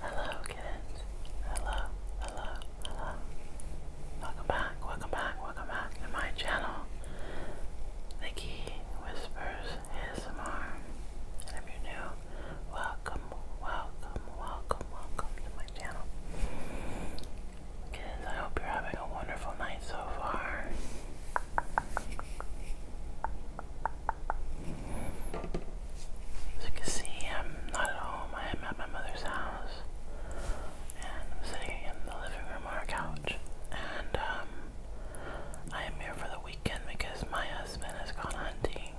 Hello kids. Hello, hello, hello. Welcome back, welcome back, welcome back to my channel. Nikki Whispers ASMR. if you're new, welcome, welcome, welcome, welcome to my channel. Kittens, I hope you're having a wonderful night so far. As you can see, I'm not at home. I am at my mother's house. And I'm sitting in the living room on a couch. And um, I am here for the weekend because my husband has gone hunting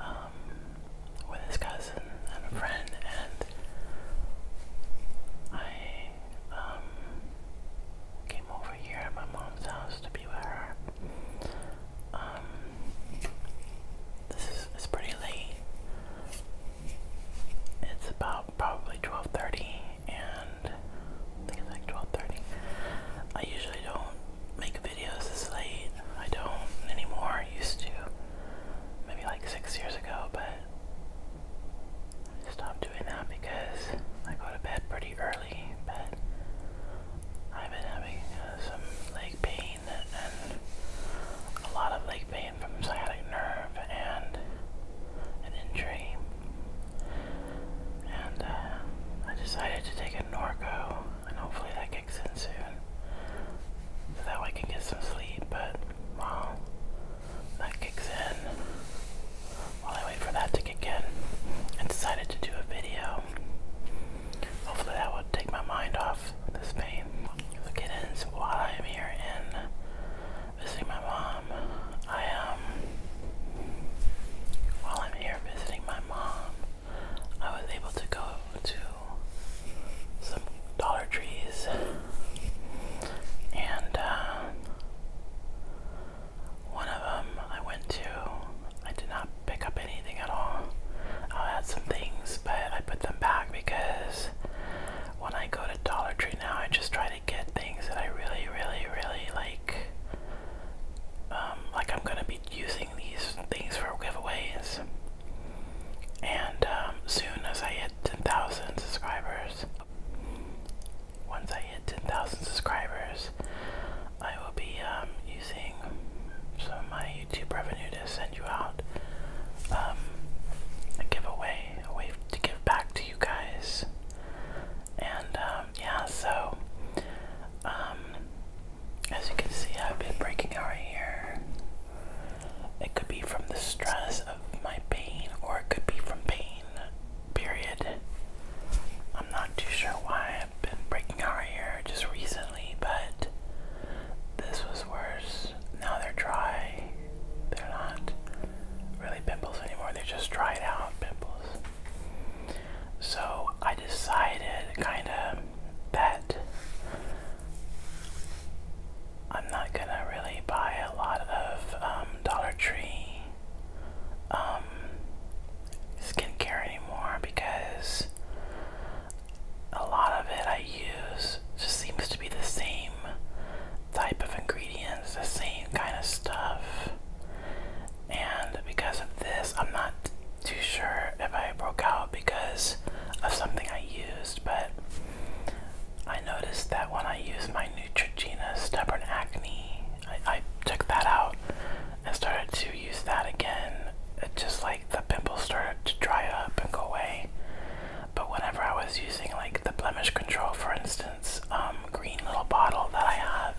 um, with his cousin and a friend. And I um, came over here at my mom's house to be with her. Um, this is it's pretty late. It's about probably 12:30, and I think it's like 12:30. I usually don't make videos this late. I don't anymore. I used to, maybe like six years ago, but I stopped doing that because I go to bed pretty early but I've been having uh, some leg pain and a lot of leg pain from sciatic nerve and an injury. And uh, I decided to take a Norco, and hopefully that kicks in soon. So that way I can get some sleep, but well, that kicks in, I wait for that to kick in and decided to do a video. Hopefully that will take my mind off this pain. So get while I am here and visiting my mom. I um while I'm here visiting my mom, I was able to go to some Dollar Trees and uh, one of them I went to, I did not pick up anything at all. I had some things, but I put them back because when I go to Dollar Tree now, I just try to get things that I really, really, really like. Um, like I'm gonna be using these things for giveaways. And um, soon as I hit 10,000 subscribers, once I hit 10,000 subscribers, I will be um, using some of my YouTube revenue to send you out um, a giveaway, a way to give back to you guys. And um, yeah, so as you can see, I've been breaking out here. It could be from the stress of my pain, or it could be from pain. Period. I'm not too sure why I've been breaking our right here just recently, but this was worse. Now they're dry. They're not really pimples anymore. They're just dried out pimples. So I decided kind of that I'm not gonna really buy a lot of um, Dollar Tree um, skincare anymore because a lot of it I use just seems to be the same type of ingredients, the same kind of stuff. And because of this, I'm not too sure if I broke out because of something I used, but I noticed that when I used my Neutrogena Stubborn Acne, I, I took that out and started to use that again, it just like the pimples started to dry up and go away. But whenever I was using like the blemish control, for instance, um, green little bottle that I have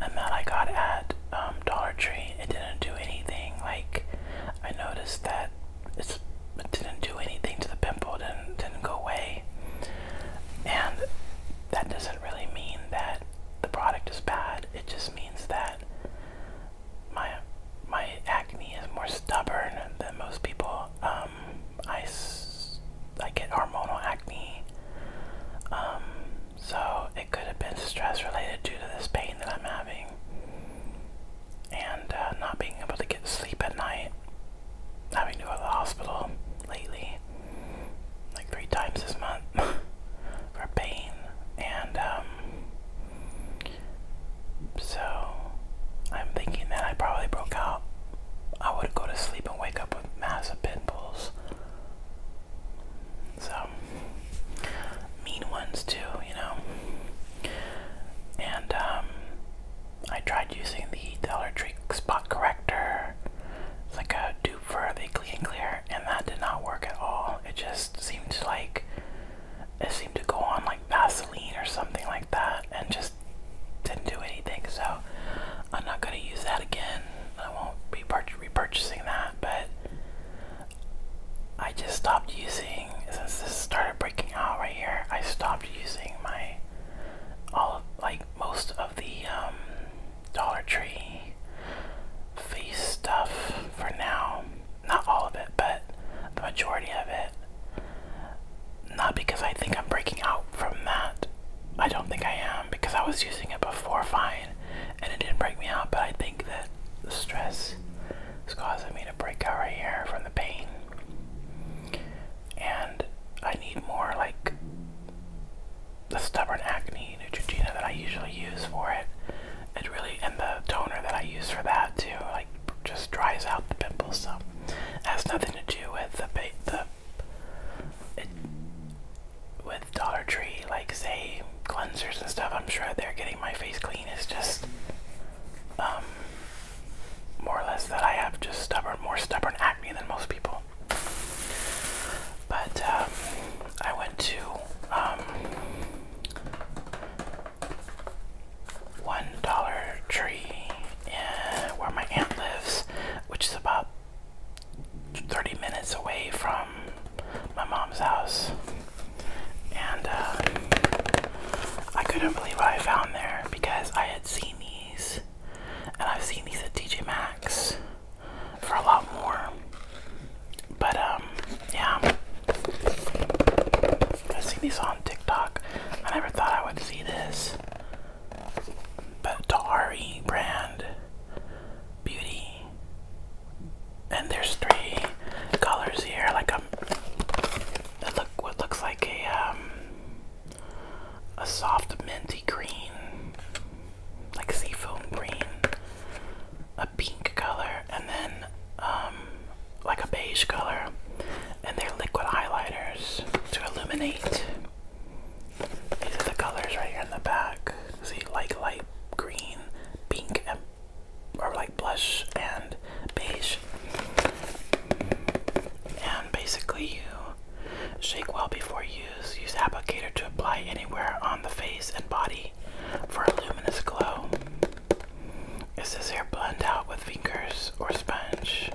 and that I got at um, Dollar Tree, it didn't do anything. Like I noticed that it didn't do anything to the pimple, didn't didn't go away, and that doesn't really mean that the product is bad. It just means that my my acne is more stubborn than most people. I um, I, s I get hormonal acne. Um, so it could have been stress related due to this pain that I'm having, and uh, not being able to get sleep at night. Having to go to the hospital lately like three times this month for pain, and um, so I'm thinking that I probably broke out. I would go to sleep and wake up with massive pimples. So mean ones too, you know. And um, I tried using the Dollar Tree spot corrector. like a do for the clean clear, and that did not work at all. It just seemed like it seemed to go on like Vaseline or something like that, and just didn't do anything. So I'm not gonna use that again. I won't be repurchasing that, but I just stopped using since this started breaking out right here. I stopped using my all of, like most of the um, Dollar Tree fleece stuff for now. Not all of it, but the majority of it. Not because I think I'm breaking out from that. I don't think I am because I was using it before fine and it didn't break me out, but I think that the stress is causing me to break out right here from the pain. And I need more like the stubborn acne Neutrogena that I usually use for it. It really and the toner that I use for that too, like just dries out the pimples. So it has nothing to do with the the it, with Dollar Tree, like say cleansers and stuff. I'm sure they're getting my face clean. Is just um, more or less that I have just stubborn, more stubborn acne than most people. But um, I went to um, one Dollar Tree eh, where my aunt lives, which is about 30 minutes away from my mom's house. And uh, I couldn't believe what I found there because I had seen these. And I've seen these at DJ Maxx for a lot more. But um, yeah. I've seen these on TikTok. I never thought I would see this. But Tahari brand beauty. And there's three colors here, like a um, look what looks like a um a soft minty green like seafoam green, a pink color, and then um, like a beige color. And they're liquid highlighters to illuminate. These are the colors right here in the back. So you like light green, pink, or like blush and beige. And basically, you shake well before you use. applicator to apply anywhere on the face and body for a luminous glow. Is this hair blend out with fingers or sponge?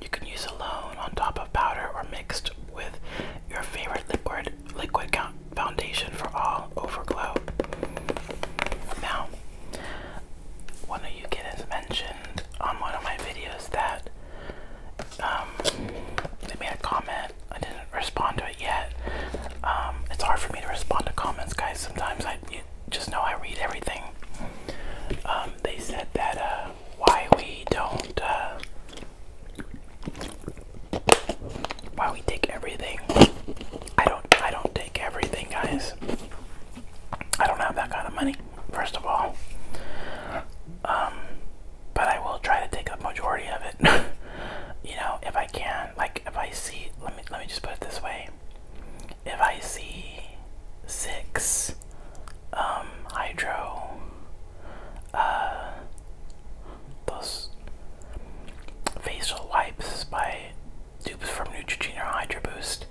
You can use alone on top of powder or mixed with your favorite liquid liquid foundation for all over glow. Now, one of you kids mentioned on one of my videos that um, they made a comment. I didn't respond to it yet. Um, it's hard for me to respond to comments, guys. Sometimes I just know I read everything. Um, they said that uh, why we don't, uh, why we take everything. I don't, I don't take everything, guys. I don't have that kind of money. First of all, but I will try to take the majority of it. you know, if I can, like if I see, let me let me just put it this way: if I see six um, hydro, uh, those facial wipes by dupes from Neutrogena or Hydro Boost,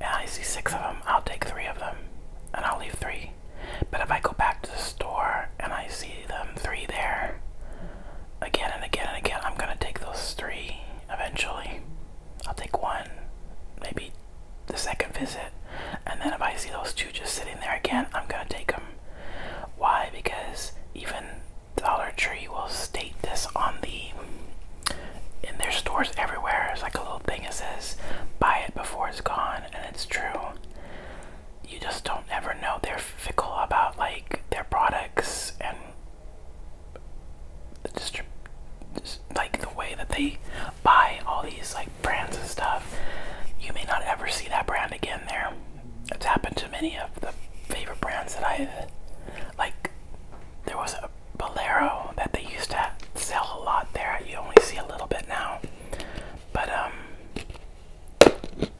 and I see six of them, I'll take three of them, and I'll leave three. But if I go back to the store and I see them three there again and again and again, I'm gonna take those three eventually. I'll take one, maybe the second visit, and then if I see those two just sitting there again, I'm gonna take them. Why? Because even Dollar Tree will state this on the in their stores everywhere. It's like a little thing that says, "Buy it before it's gone," and it's true you just don't ever know. They're fickle about like their products and the distri just, like the way that they buy all these like brands and stuff. You may not ever see that brand again there. It's happened to many of the favorite brands that I like. There was a Bolero that they used to sell a lot there. You only see a little bit now. But um,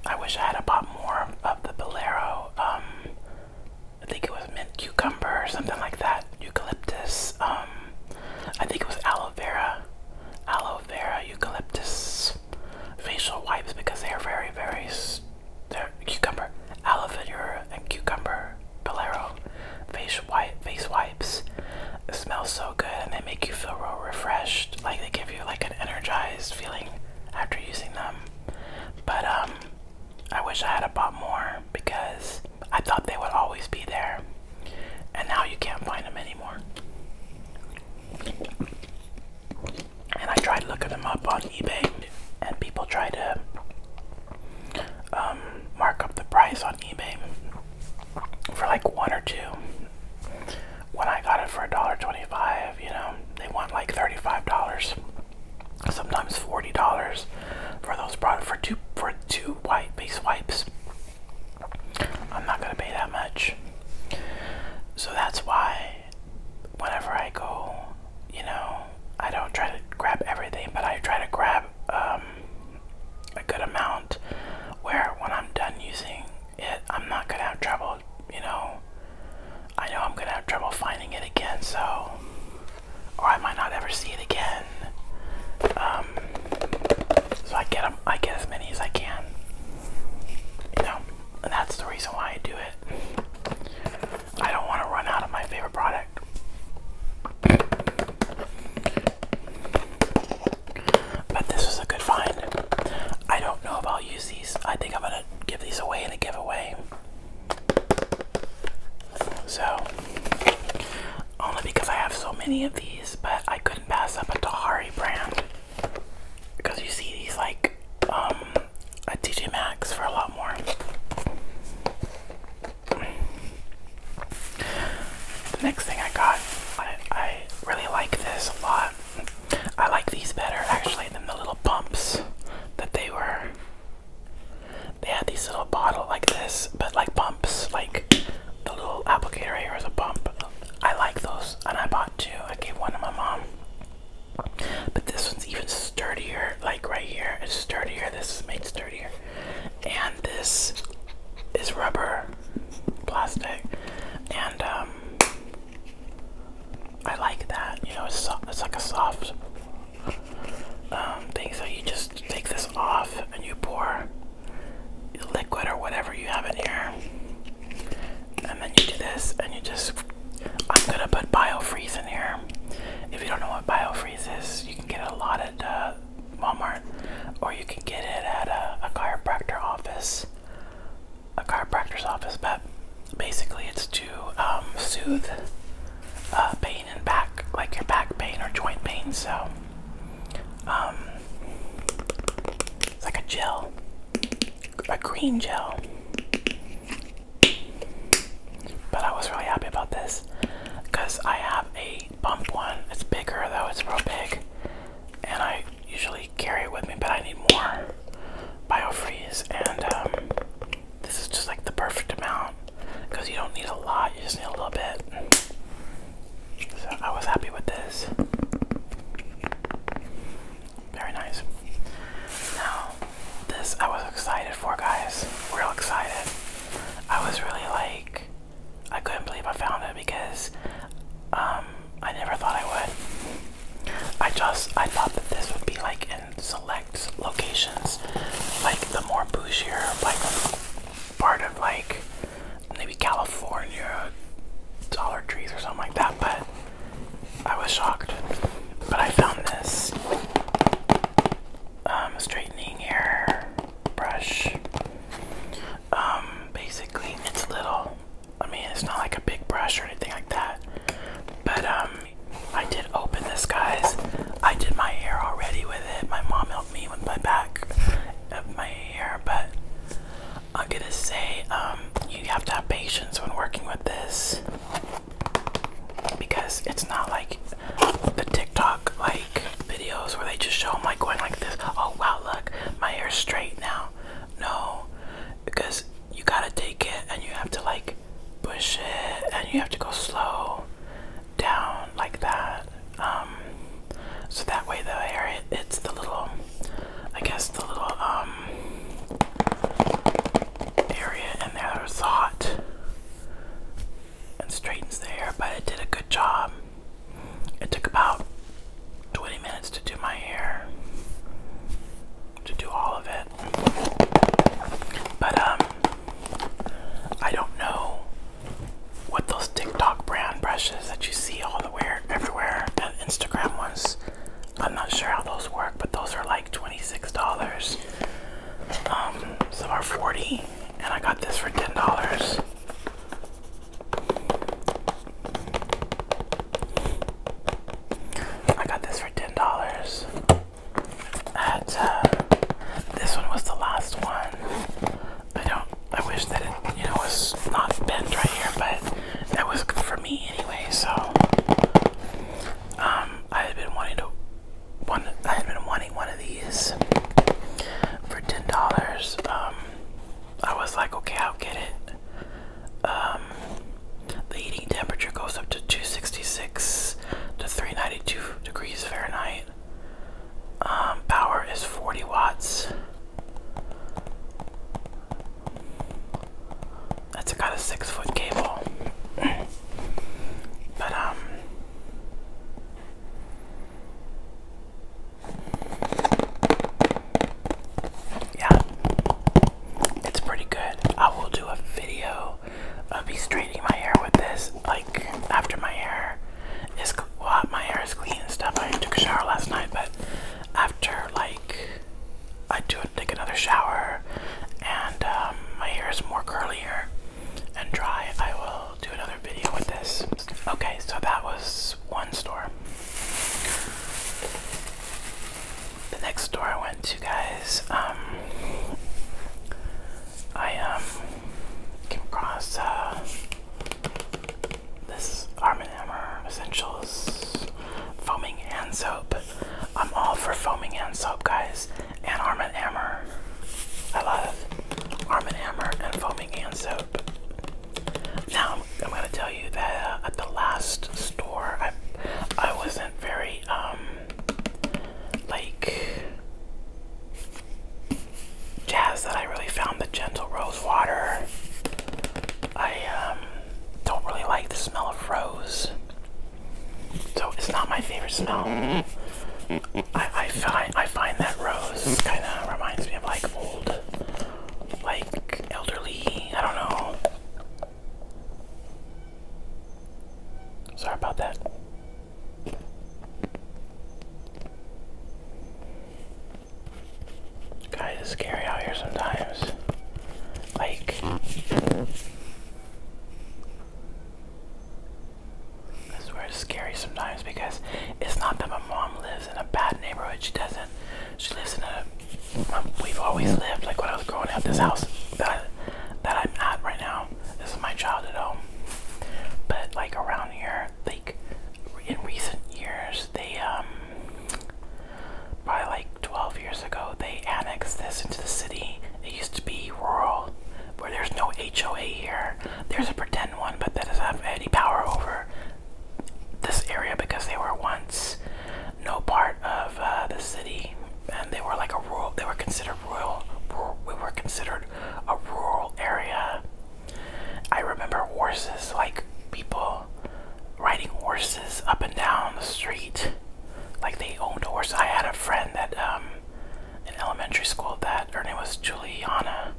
I wish I had a bought more of the bolero. Um, I think it was mint cucumber or something like that. Eucalyptus. Um, I think it was aloe vera, aloe vera, eucalyptus facial wipes because they are very, very. They're cucumber, aloe vera, and cucumber bolero face wipe, face wipe wipes smell so good and they make you feel real refreshed. Like they give you like an energized feeling after using them. But um I wish I had bought more because I thought they would always be there. And now you can't find them anymore. And I tried looking them up on eBay and people try to um, mark up the price on eBay for like one or two when I got it for $1.25, you know, they want like $35, sometimes $40 for those for two for two white base wipes. I'm not gonna pay that much. So that's why whenever I go, you know, I don't try to grab everything, but I try to grab um, a good amount where when I'm done using it, I'm not gonna have trouble, you know. I know I'm gonna have trouble finding it again, so or I might not ever see it again. Um, so I get them, I get as many as I can, you know, and that's the reason why I do it. I don't want to run out of my favorite product. But this was a good find. I don't know if I'll use these. I think I'm gonna give these away in a giveaway. So, only because I have so many of these, but I couldn't pass up a Tahari brand. Because you see these like um, at TJ Maxx for a lot more. The next thing I got, I, I I really like this a lot. I like these better actually than the little pumps that they were. They had these little bottle like this, but like pumps, like the little applicator here is a pump. I like those, and I bought two. I gave one to my mom. But this one's even sturdier, like right here. It's sturdier. This is made sturdier. And this is rubber plastic, and um, I like that. You know, it's, like a soft um, thing. So you just take this off and you pour liquid or whatever you have in here, and then you do this, and you just. I'm gonna put biofreeze in here. If you don't know what biofreeze is, you can get a lot of. Uh, Walmart, or you can get it at a, chiropractor office, a chiropractor's office. But basically, it's to um, soothe uh, pain in back, like your back pain or joint pain. So, um, it's like a gel, a green gel. But I was really happy about this because I have a bump one. It's bigger though, it's real big and I usually carry it with me, but I need more biofreeze, and um, this is just like the perfect amount because you don't need a lot, you just need a little bit. So I was happy with this. Very nice. Now, this I was excited for, guys. Real excited. I was really like I couldn't believe I found it because um, I never thought I would. I just I thought that this would be like in select locations, like the more bougier, like part of like maybe California Dollar Trees or something like that. But I was shocked. But I found this um, straightening hair brush. Um, basically, it's little. I mean, it's not like a big brush or anything like that. But um, I did open this, guys. I did my hair already with it. My mom helped me with my back of uh, my hair, but I'm gonna say um, you have to have patience when working with this because it's not like the TikTok like videos where they just show them like going like this. Oh wow, look, my hair's straight now. No, because you gotta take it and you have to like push it and you have to go slow down like that. Um, so that way the hair it's the little, I guess the little um area in there that hot and straightens the hair, but it did a good job. It took about 20 minutes to do my hair, to do all of it. But, um, I don't know what those TikTok brand brushes that you see all the way everywhere and Instagram ones. I'm not sure how those work, but those are like $26. Um, some are 40 and I got this for $10. I got this for ten dollars. At uh, this one was the last one. I don't. I wish that it, you know, was not bent right here, but that was for me anyway. So, um, I had been wanting to one. I had been wanting one of these for ten dollars. Um, I was like, okay, I'll get it. Um, the heating temperature goes up to 266 to 392 degrees Fahrenheit. Um, power is 40 watts. That's got a six foot cable. but, um, yeah, it's pretty good. I will do a video of me straightening my hair with this, like after my hair is my hair is clean and stuff. I took a shower last night, but after like I do take another shower and um, my hair is more curlier and dry, I will do another video with this. Okay, so that was one store. The next store I went to, guys, um, I um came across uh, this Arm & Hammer Essentials foaming hand soap. I'm all for foaming hand soap, guys, and Arm & Hammer. I love Arm & Hammer and foaming hand soap. Now I'm gonna tell you that uh, at the last store, I I wasn't very um, like jazz. that I really found the gentle rose water. I um, don't really like the smell of rose, so it's not my favorite smell. I, I find I find that rose kind of reminds me of like old like elderly, I don't know. Sorry about that. Guys, it's scary out here sometimes. Like, I swear it's scary sometimes because it's not that my mom lives in a bad neighborhood. She doesn't. She lives in a. We've always lived like when I was growing up. This house that I, that I'm at right now. This is my childhood home. But like around here, like in recent years, they um by like 12 years ago they annexed this into the city. It used to be rural, where there's no HOA here. There's a pretend one, but that doesn't have any power over this area because they were once no part of uh, the city, and they were like a rural. They were considered rural. we were considered a rural area. I remember horses, like people riding horses up and down the street, like they owned horses. I had a friend that um, in elementary school that her name was Juliana.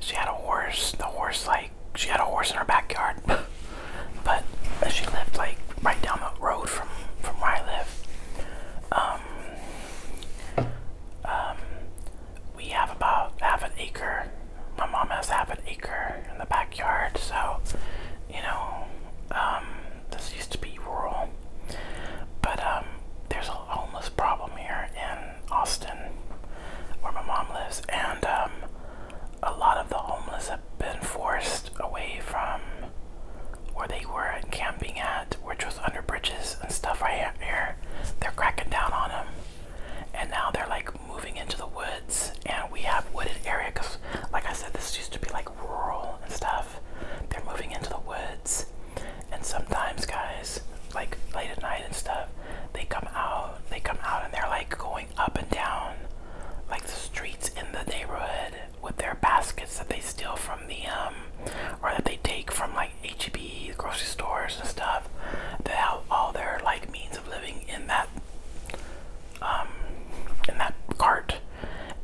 She had a horse. The horse, like, she had a horse in her backyard, but she lived like right down the road from from where I live. Um, um, we have about half an acre. My mom has half an acre in the backyard, so you know, um, this used to be rural. But um, there's a homeless problem here, and Austin, where my mom lives, and um, a lot of the homeless have been forced away from where they were camping at, which was under bridges and stuff right here. They're cracking down on them, and now they're like moving into the woods, and we have wooded area because, like I said, this used to be like rural and stuff. They're moving into the woods, and sometimes, guys, like late at night and stuff, they come out, they come out and they're like going up and down like the streets in the neighborhood with their baskets that they steal from the um or that they take from like HEB grocery stores and stuff. They have all their like means of living in that um in that cart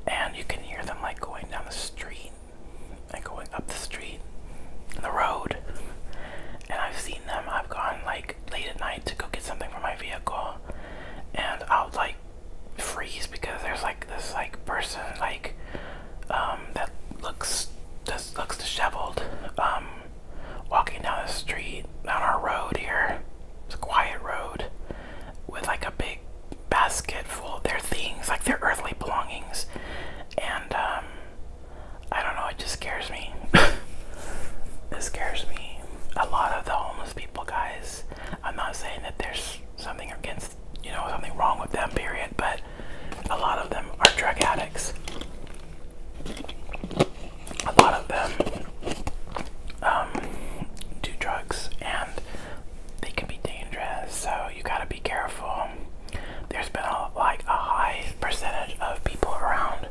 and you can hear them like going down the street and going up the street and the road and I've seen them. I've gone like late at night to go get something for my vehicle, and I'll like freeze because there's like this like person like um, that looks just looks disheveled um, walking down the street on our road here. quiet road with like a big basket full of their things, like their earthly belongings, and um, I don't know, it just scares me. it scares me. A lot of the homeless people, guys, I'm not saying that there's something against, you know, something wrong with them, period, but a lot of them are drug addicts. A lot of them um, do drugs and they can be dangerous, so you gotta be careful there's been a, like a high percentage of people around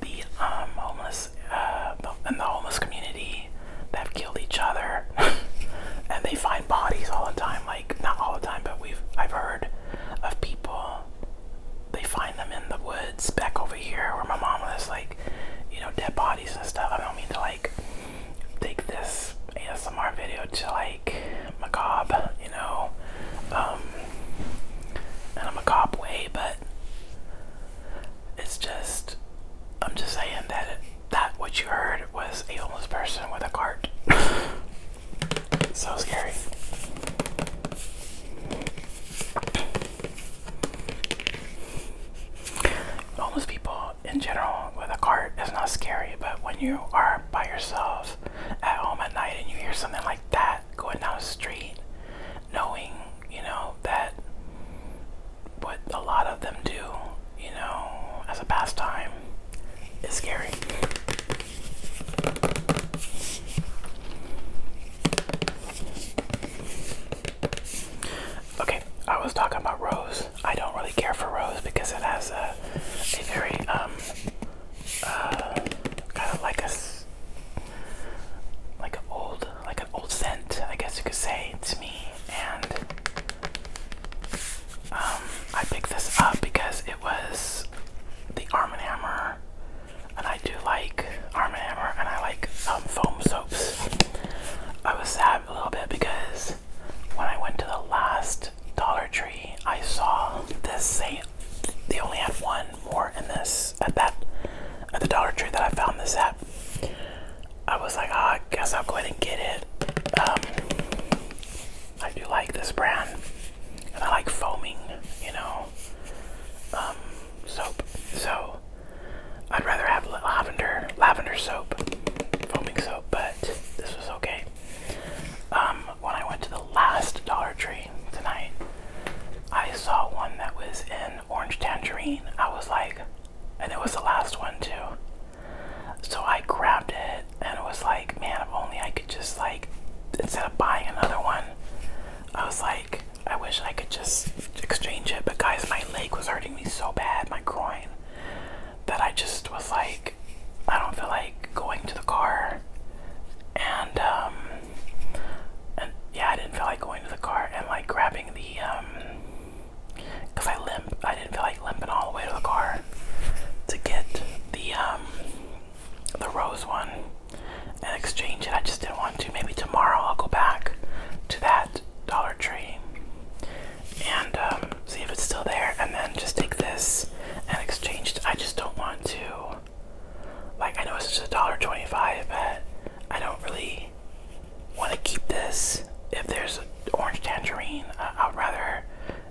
the um, homeless uh, the homeless community that have killed each other, and they find bodies all the time. Like not all the time, but we've I've heard of people they find them in the woods back over here where my mom was like, you know, dead bodies and stuff. I don't mean to like take this ASMR video to like macabre, you know, um, in a macabre way, but it's just, I'm just saying that that what you heard was a homeless person with a cart. so scary. Homeless people in general with a cart is not scary, but when you are by yourself at home at night and you hear something like that going down the street, knowing, you know, that what a lot of them do, you know, as a pastime is scary. Okay, I was talking about Rose. I don't really care for Rose because it has a, very um uh, kind of like a like an old like an old scent, I guess you could say, to me. And um, I picked this up because it was the Arm & Hammer, and I do like Arm & Hammer, and I like um, foam soaps. I was sad a little bit because when I went to the last Dollar Tree, I saw this same. They only had one more in this at that at the Dollar Tree that I found this at. I was like, ah, I guess I'll go ahead and get it. Um, I do like this brand, and I like foaming, you know, um, soap. So I'd rather have lavender, lavender soap, foaming soap, but this was okay. Um, when I went to the last Dollar Tree tonight, I saw one that was in orange tangerine. I was like, and it was the last one too. So I grabbed it and it was like, man, if only I could just like, instead of buying another one, I was like, I wish I could just exchange it. But guys, my leg was hurting me so bad, my groin, that I just was like, I don't feel like going to the car, and um, and yeah, I didn't feel like going to the car and like grabbing the um, cause I limp. I didn't feel like limping all the way to the car to get the um, the rose one and exchange it. I just didn't want to. Maybe tomorrow I'll go back to that Dollar Tree and see if it's still there, and then just take this and exchanged. I just don't want to. Like I know it's just a dollar twenty-five, but I don't really want to keep this. If there's an orange tangerine, I'd rather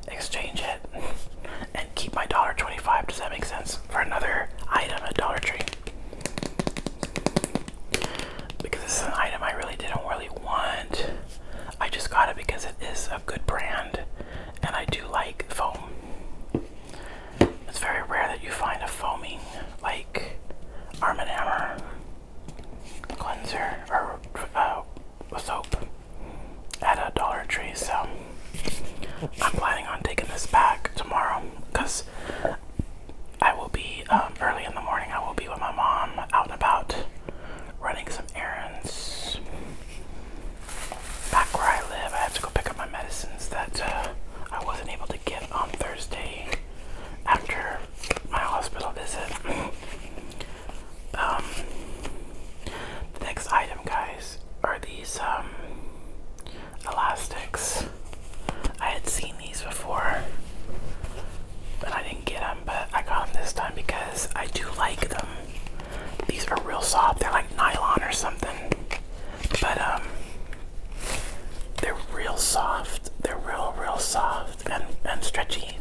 exchange it and keep my dollar twenty-five. Does that make sense? For another item at Dollar Tree, because this is an item I really didn't really want. I just got it because it is a good brand and I do like foam. It's very rare that you find a foaming like Arm & Hammer cleanser or uh, soap at a Dollar Tree. So I'm planning on taking this back tomorrow because I will be um, early in the morning. I will be with my mom out and about running some errands back where I live, I had to go pick up my medicines that uh, I wasn't able to get on Thursday after my hospital visit. Um, the next item, guys, are these um, elastics. I had seen these before, but I didn't get them. But I got them this time because I do like them. These are real soft. They're like nylon or something. But um they're real soft. They're real real soft and, and stretchy.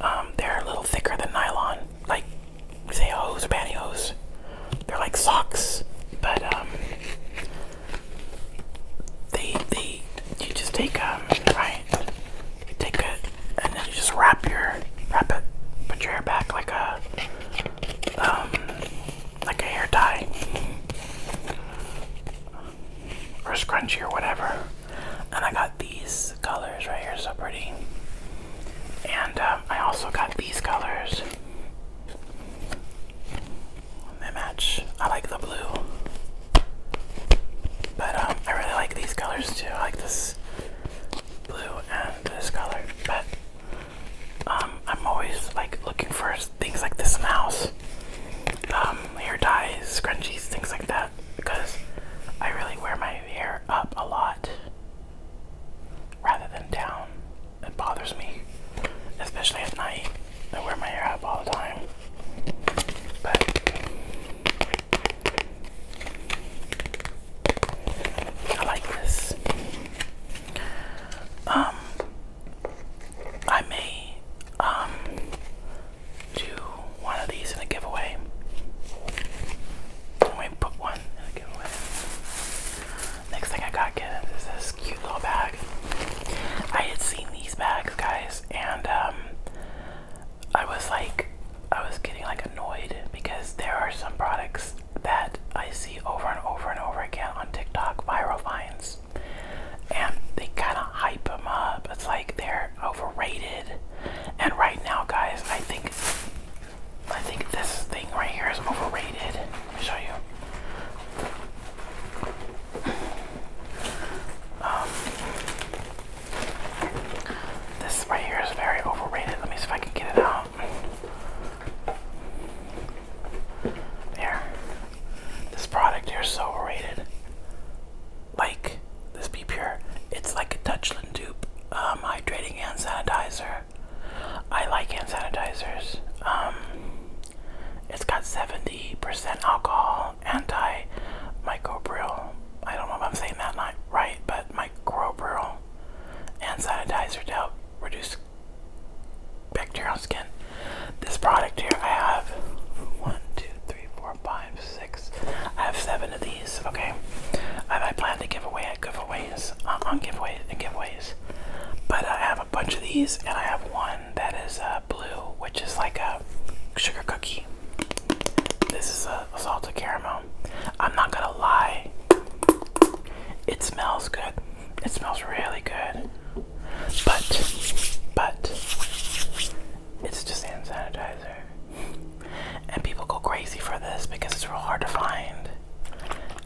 Um they're a little thicker than nylon. Like say hose or pantyhose. They're like socks, but um they they you just take um right take and then you just wrap your wrap it, put your hair back like a um like a hair tie or scrunchie or whatever. And I got these colors right here, so pretty. And um, I also got these colors. They match. I like the blue. But um, I really like these colors too. I like this blue and this color, but um, I'm always like looking for things like this mouse, um, hair ties, scrunchies, things like that, because I really wear my hair up a lot rather than down. It bothers me, especially at night. I wear my hair up all the time. But I like this. Um, I may um do one of these in a giveaway. And we put one in a giveaway. Next thing I got is this cute little bag. I had seen these bags, guys, and um I was like, I was getting like annoyed because there are some products that I see over and over and over again on TikTok viral vines, and they kind of hype them up. It's like they're overrated. And right now, guys, I think I think this thing right here is overrated. Let me show you. Um, this right here is very overrated. Let me see if I can get it out. There. This product here is so overrated. Like, this Be Pure, it's like a Dutchland dupe um, hydrating hand sanitizer. I like hand sanitizers. Um, it's got 70% alcohol, anti microbial. I don't know if I'm saying that right, but microbial and sanitizer to help reduce bacteria on skin. This product here, I have one, two, three, four, five, six. I have seven of these. Okay, I, plan to give away at giveaways on giveaways and giveaways, but I have a bunch of these, and I have one that is uh, blue, which is like a sugar cookie. This is a, a salted caramel. I'm not gonna lie. It smells good. It smells really good. But, but, it's just hand sanitizer. And people go crazy for this because it's real hard to find.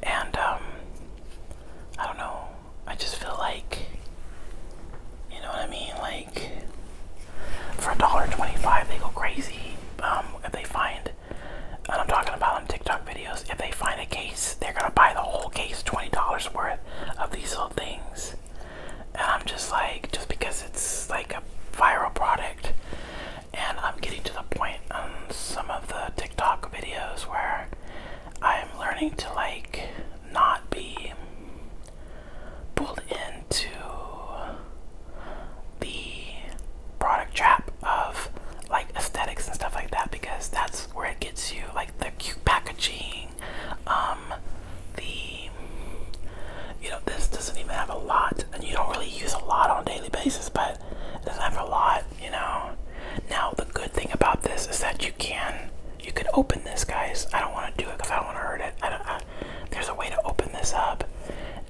And, um, I don't know. I just feel like, you know what I mean? Like, for a dollar twenty-five, they go crazy um, if they find and I'm talking about on TikTok videos, if they find a case, they're gonna buy the whole case, $20 worth of these little things. And I'm just like, just because it's like a viral product, and I'm getting to the point on some of the TikTok videos where I'm learning to like not be pulled in into the product trap of like aesthetics and stuff like that because that's where it gets you like the cute packaging um the you know this doesn't even have a lot and you don't really use a lot on a daily basis but it doesn't have a lot you know now the good thing about this is that you can you can open this guys i don't want to do it because i don't want to hurt it I don't, there's a way to open this up,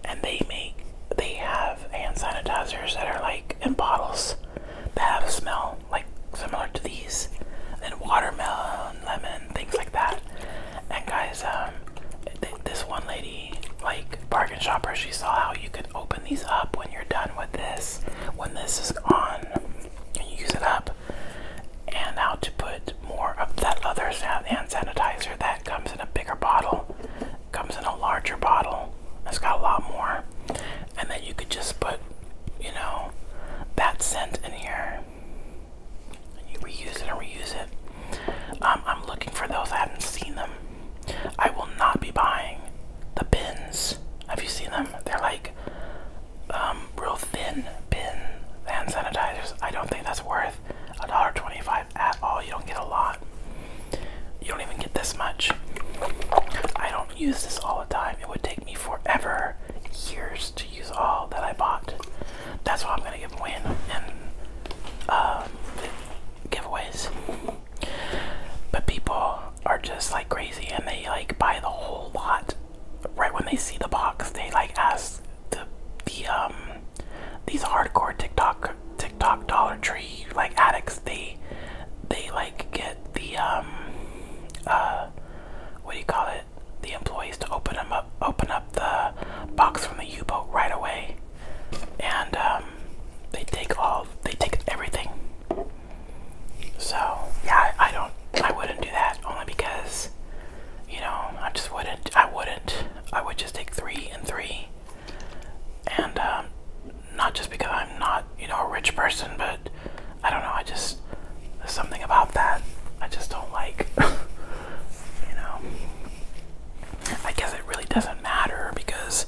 and they make they have hand sanitizers that are like in bottles that have a smell like similar to these, and watermelon, lemon, things like that. And guys, um, this one lady, like bargain shopper, she saw how you could open these up when you're done with this, when this is on, and you use it up, and how to put more of that other hand sanitizer that it comes in a bigger bottle, comes in a larger bottle. It's got a lot more. And then you could just put, you know, that scent in here. And you reuse it and reuse it. Um, I'm looking for those. I haven't seen them. I will not be buying the bins. Have you seen them? They're like um, real thin bin hand sanitizers. I don't think that's worth a dollar twenty-five at all. You don't get a lot. You don't even get this much. I don't use this all the time. It would take me forever, years to use all that I bought. That's why I'm gonna give away in uh, giveaways. But people are just like crazy, and they like buy the whole lot right when they see the box. They like ask the the um these hardcore TikTok TikTok Dollar Tree like addicts they they like get the um uh what do you call it the employees to open them up open up the box from the U-boat right away and um they take all they take everything so yeah I don't I wouldn't do that only because you know, I just wouldn't. I wouldn't. I would just take three and three, and um, not just because I'm not, you know, a rich person, but I don't know. I just there's something about that I just don't like. you know, I guess it really doesn't matter because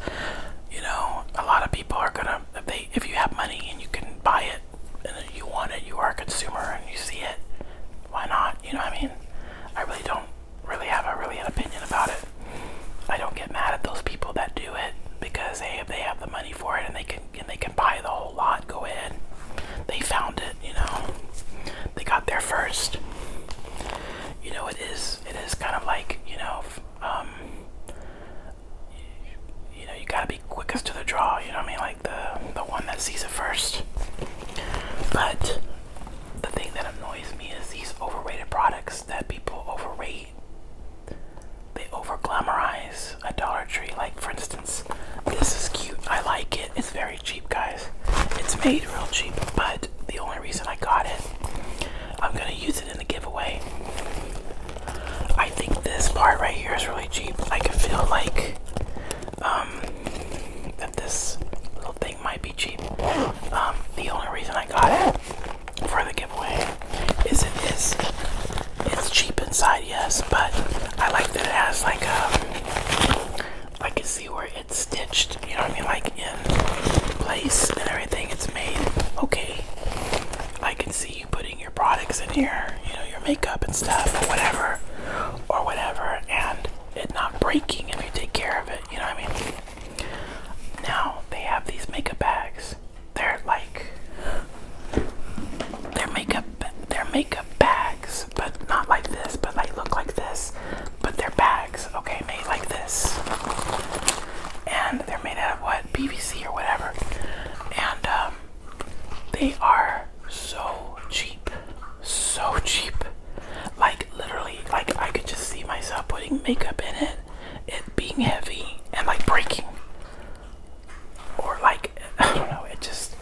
you know a lot of people are gonna if they if you have money and you can buy it and you want it, you are a consumer and you see it. Why not? You know what I mean? I really don't really have a really an opinion about it. I don't get mad at those people that do it because hey, if they have the money for it and they can and they can buy the whole lot, go ahead. They found it, you know. They got there first. You know, it is it is kind of like you know, um, you know, you gotta be quickest to the draw. You know what I mean? Like the the one that sees it first. But the thing that annoys me is these overrated products that people overrate. They overglamorize glamorize a Dollar Tree. Like, for instance, this is cute. I like it. It's very cheap, guys. It's made real cheap, but the only reason I got it, I'm gonna use it in the giveaway. I think this part right here is really cheap. I can feel like um, that this little thing might be cheap. Um, the only reason I got it for the giveaway is it is it's cheap inside, yes, but I like that it has like a um, I can see where it's stitched, you know what I mean, like in place and everything. It's made okay. I can see you putting your products in here, you know, your makeup and stuff or whatever, or whatever, and it not breaking if you take care of it, you know what I mean? Now they have these makeup bags. They're like they're makeup they're makeup bags, but not like this, but like look like this. But they're bags, okay, made like this. And they're made out of what? PVC or whatever. And um, they are so cheap so cheap. Like literally, like I could just see myself putting makeup in it, it being heavy and like breaking. Or like I don't know, it just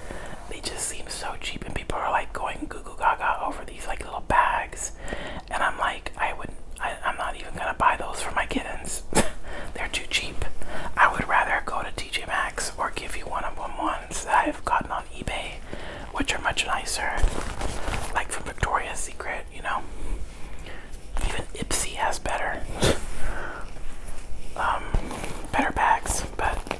they just seem so cheap and people are like going goo goo gaga over these like little bags and I'm like I would I, I'm not even gonna buy those for my kittens. They're too cheap. I would rather go to TJ Maxx or give you one of them ones that I've gotten on eBay which are much nicer, like from Victoria's Secret, you know. Even Ipsy has better, um, better bags, but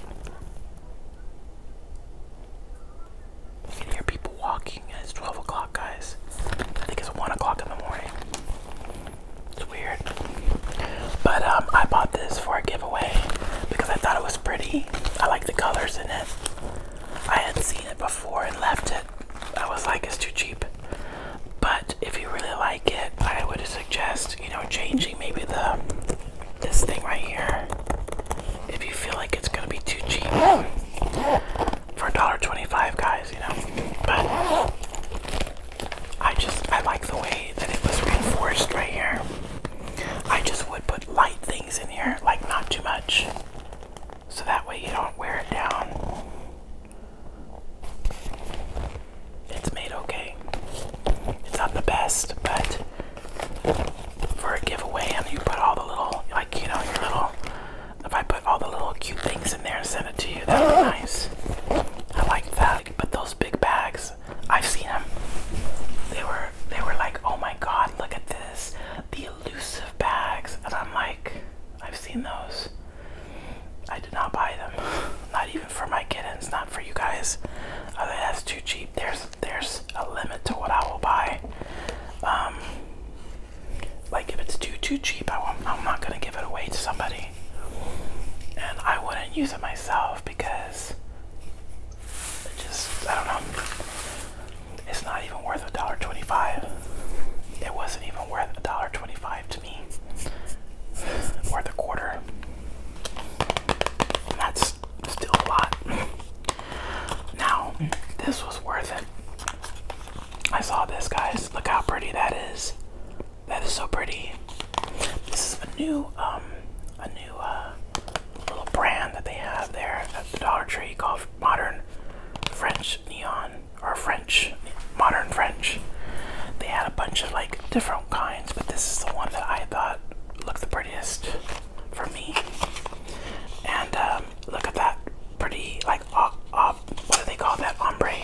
you can hear people walking. it's 12 o'clock, guys. I think it's 1 o'clock in the morning. It's weird. But um, I bought this for a giveaway because I thought it was pretty. I like the colors in it. I had seen it before and left it. I was like, it's too cheap. But if you really like it, I would suggest, you know, changing maybe the this thing right here. If you feel like it's gonna be too cheap for a dollar twenty-five, guys, you know. But I just I like the way that it was reinforced right here. I just would put light things in here, like not too much, so that way you don't wear it down. It's made okay. It's not the best, but for a giveaway, and you put all the little, like, you know, your little, if I put all the little cute things in there and send it to you, that would be nice. I like that. You put those big bags I've seen them. They were they were like, oh my god, look at this, the elusive bags, and I'm like, I've seen those. I did not buy them, not even for my kittens, not for you guys. Oh, that's too cheap. There's there's a limit to what I will buy. Um, like if it's too too cheap, I won't, I'm not gonna give it away to somebody, and I wouldn't use it myself because it just, I don't know. It's not even worth a dollar twenty-five. It wasn't even worth a dollar twenty-five to me. It's worth a quarter. that's still a lot. Now, this was worth it. I saw this, guys. Look how pretty that is. That is so pretty. This is a new um, a new uh, little brand that they have there at the Dollar Tree called Modern French Neon or French Modern French. They had a bunch of like different kinds, but this is the one that I thought looked the prettiest for me. And um, look at that pretty like op, op, what do they call that ombre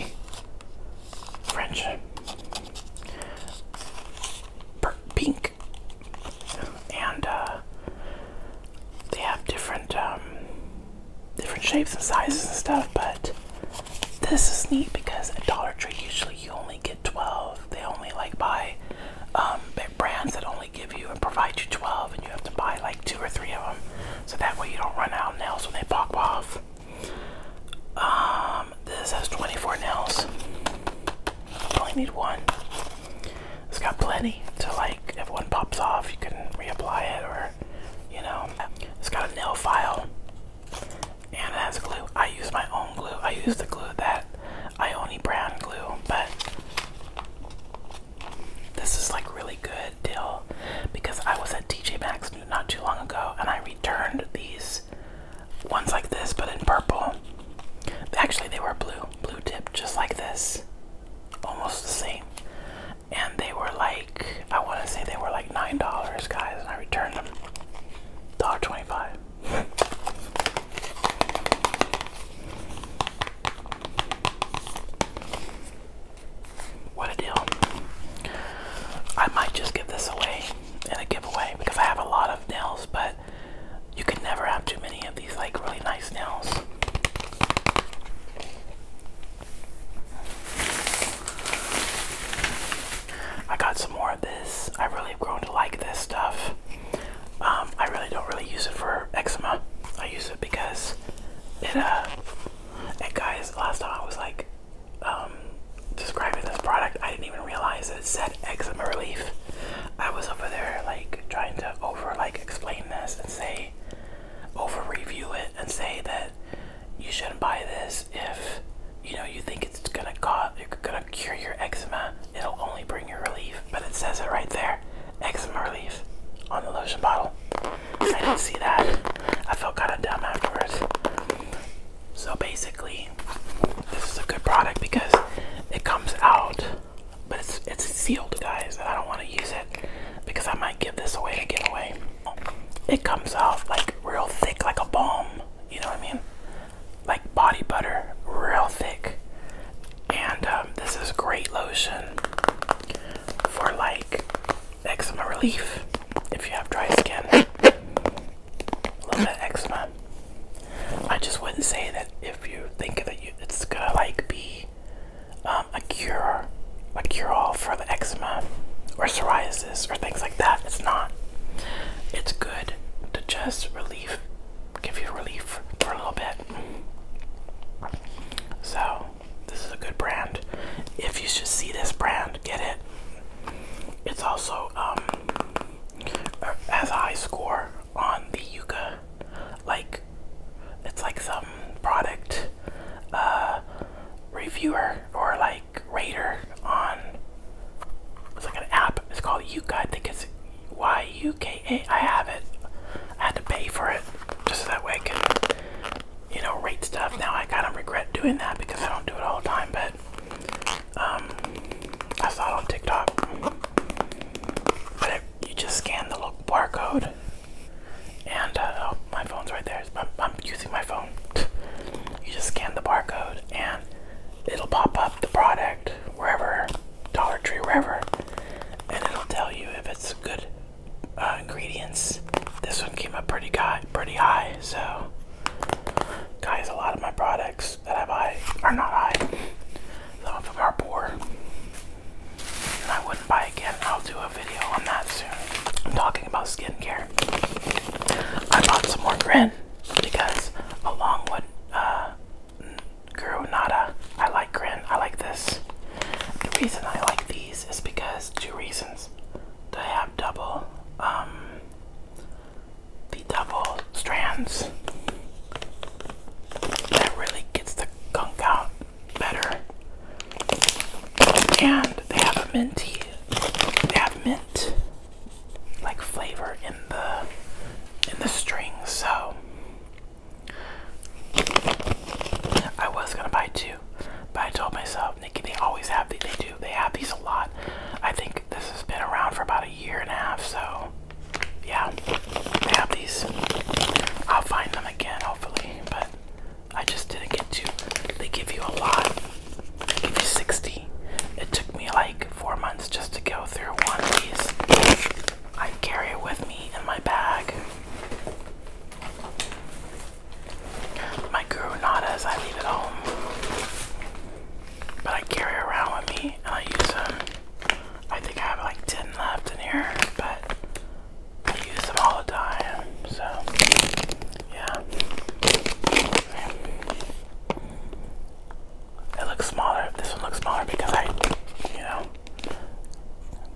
French pink and uh, they have different um, different shapes and sizes and stuff. But this is neat because at Dollar Tree usually you only get twelve. They only like buy um, brands that only give you and provide you twelve, and you have to buy like two or three of them, so that way you don't run out of nails when they pop off. Um, this has 24 nails. I only need one. It's got plenty to like. If one pops off, you can reapply it, or you know, it's got a nail file, and it has glue. I use my own glue. I use the glue that I Ioni brand glue, but this is like really good deal because I was at TJ Maxx not too long ago, and I returned these ones like this, but in purple. Actually, they were blue, blue tip, just like this, almost the same. And they were like, I want to say they were like nine dollars, guys, and I returned them dollar twenty-five. What a deal! I might just give this away in a giveaway because I have a lot of nails, but you can never have too many of these like really nice nails. I got some more of this. I really have grown to like this stuff. Um, I really don't really use it for eczema. I use it because it and uh, guys last time I was like um, describing this product I didn't even realize it said eczema relief. I was over there like trying to over like explain this and say over review it and say that you shouldn't buy this if you know you think it's gonna cause it's gonna cure your eczema. It'll only bring you relief, but it says it right there, eczema relief on the lotion bottle. I didn't see that. I felt kind of dumb afterwards. So basically, this is a good product because it comes out, but it's it's sealed, guys. I don't want to use it because I might give this away to give away. It comes out like real thick, like a balm. You know what I mean? Like body butter, real thick. And um, this is great lotion for like eczema relief if you have dry skin. A little bit of eczema. I just wouldn't say that if you think that it's gonna like be um, a cure, a cure-all for the eczema or psoriasis or things like that. It's not. It's good to just relieve, give you relief for a little bit. So this is a good brand. If you should see this brand, get it. It's also um, has a high score on the yuka, Like, it's like some product uh, reviewer or like rater on. It's like an app. It's called Yuka. I think it's Y U K A. I have it. I had to pay for it just so that way I could, you know, rate stuff. Now I kind of regret doing that because I don't do it all the time, but um, I saw on TikTok. But you just scan the little barcode, and uh, oh, my phone's right there. I'm, using my phone. you just scan the barcode, and it'll pop up the product wherever, Dollar Tree, wherever, and it'll tell you if it's good uh, ingredients. This one came up pretty high, pretty high. So, guys, a lot of my products that I buy are not high some of them poor. I wouldn't buy again. I'll do a video on that soon. I'm talking about skincare. I bought some more grin because along with uh, I like grin. I like this. The reason I like these is because two reasons. They have double um, the double strands. That really gets the gunk out better. And they have a minty, they have mint like flavor in the in the strings. So I was gonna buy two, but I told myself, Nikki, they always have these. They do. They have these a lot. I think this has been around for about a year and a half, so yeah, I have these. I'll find them again, hopefully, but I just didn't get to. They give you a lot. They give you 60. It took me like four months just to go through one of these. I carry it with me in my bag. My Guru Nada as I leave at home. But I carry around with me and I use them. I think I have like 10 left in here, but I use them all the time, so yeah. It looks smaller, this one looks smaller because I, you know,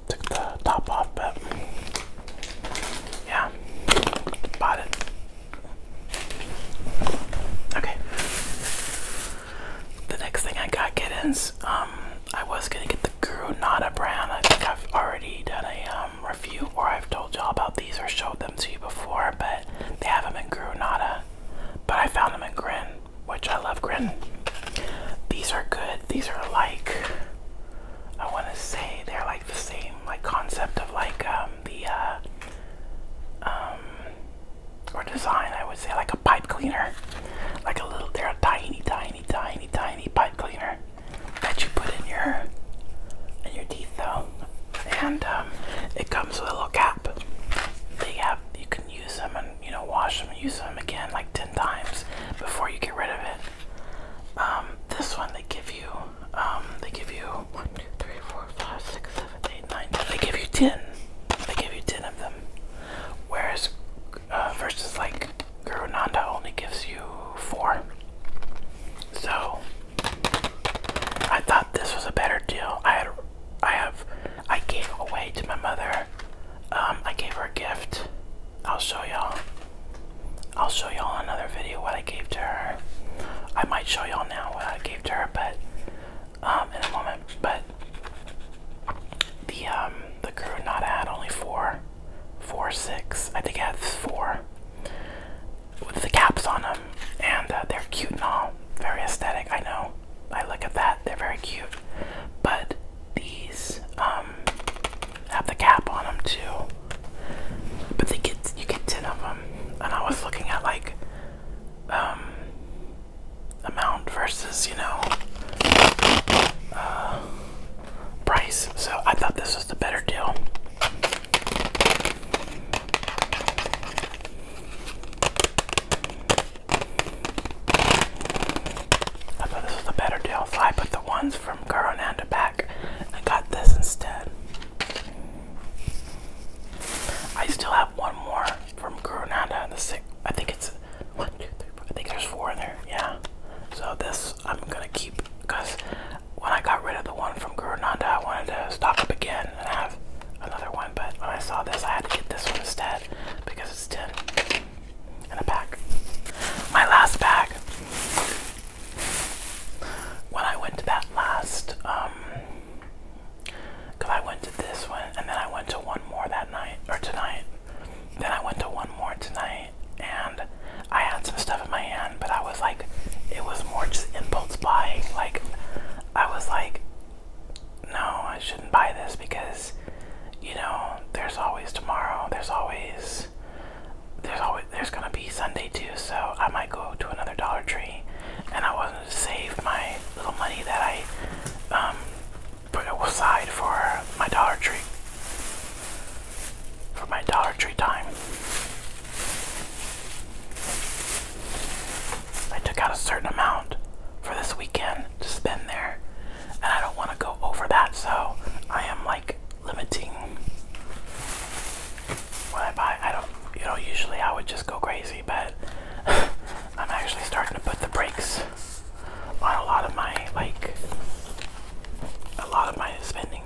took the top off, but yeah, bought it. Okay. The next thing I got kittens, um, I was gonna get the Guru brand. I think I've already done a um, review or I've told y'all about these or showed them to you before, but they have them in Guru But I found them in Grin, which I love Grin. These are good. These are like, I wanna say they're like the same like concept of like um, the uh, or design, I would say, like a pipe cleaner, like a little, they're a tiny, tiny, tiny, tiny pipe cleaner that you put in your in your teeth, though, and um, it comes with a little cap. They have you can use them and you know wash them, and use them again like ten times before you get rid of it. Um, this one they give you, um, they give you one, two, three, four, five, six, seven. 8, 9, They give you 10. They give you 10 of them. Whereas, uh, versus like Guru Nanda only gives you 4. So, I thought this was a better deal. I had, I have, I gave away to my mother. Um, I gave her a gift. I'll show y'all. I'll show y'all another video what I gave to her. I might show y'all now what I gave to her, but um, in a moment. But the um, the crew not had only four, four six. I think it had four with the caps on them, and uh, they're cute and all, very aesthetic. I know. I look at that; they're very cute. But these um, have the cap on them too. But they get you get ten of them, and I was looking at like um amount versus, you know, uh, price. So I thought this was the better deal. I thought this was the better deal, so I put the ones from Coronanda back and got this instead. I still have one more from and The six, I think it's one, two, three, four. I think there's four in there. Yeah. So this I'm gonna keep because when I got rid of the one from Granada, I wanted to stock up again and have another one. But when I saw this, I had to get this one instead because it's ten in a pack. My last bag. When I went to that last um because I went to this one and then I went to one more that night, or tonight. Then I went to one more tonight and I had some stuff in my hand, but I was like, it was more just impulse buying. Like, I was like, no, I shouldn't buy this because, you know, there's always tomorrow, there's always. There's always there's gonna be Sunday too, so I might go to another Dollar Tree, and I was um, save my little money that I um, put aside for my Dollar Tree. For my Dollar Tree time. I took out a certain amount for this weekend to spend there, and I don't want to go over that, so I am like limiting when I buy. I don't, you know, usually I would just go crazy, but I'm actually starting to put the brakes on a lot of my like a lot of my spending.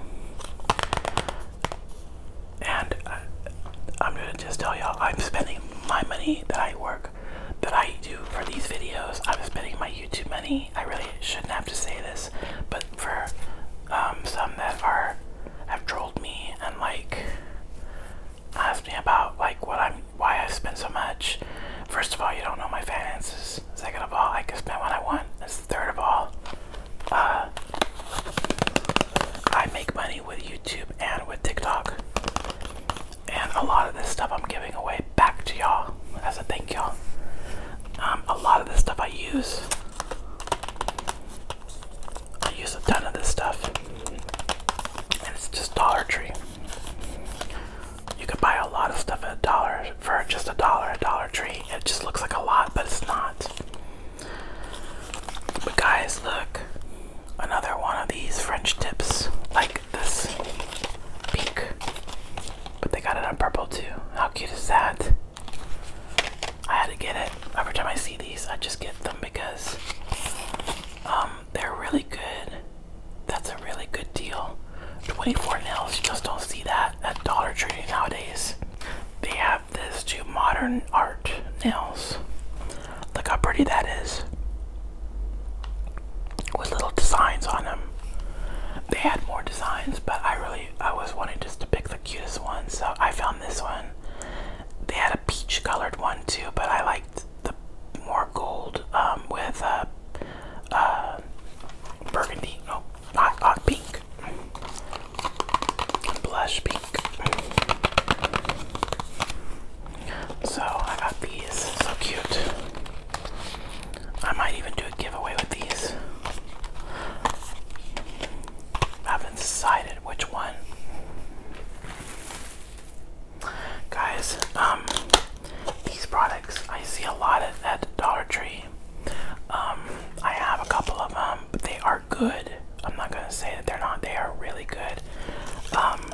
And uh, I'm gonna just tell y'all, I'm spending my money that I work, that I do for these videos. I'm spending my YouTube money. I really shouldn't have to say this, but for um, some that are have trolled me and like Ask me about like what I'm why I spend so much. First of all, you don't know my finances. Second of all, I can spend what I want. That's third of all. Uh, I make money with YouTube and with TikTok. And a lot of this stuff I'm giving away back to y'all as a thank y'all. Um, a lot of this stuff I use. I use a ton of this stuff, and it's just Dollar Tree. You can buy a lot of stuff at a dollar for just a dollar at Dollar Tree. It just looks like a lot, but it's not. But guys, look, another one of these French tips, like this pink, but they got it on purple too. How cute is that? I had to get it. Every time I see these, I just get them because um, they're really good. That's a really good deal. 24 nails, you just don't see that at Dollar Tree nowadays. They have this too modern art nails. Look how pretty that is. With little designs on them. They had more designs, but I really I was wanting just to pick the cutest one, so I found this one. They had a peach colored one too, but I like the more gold um, with uh, uh burgundy, no, oh, not, pink, blush pink. So I got these, so cute. I might even do a giveaway with these. I haven't decided which one. Guys, um, these products I see a lot at, at Dollar Tree. Um, I have a couple of them, but they are good. I'm not gonna say that they're not. They are really good. Um,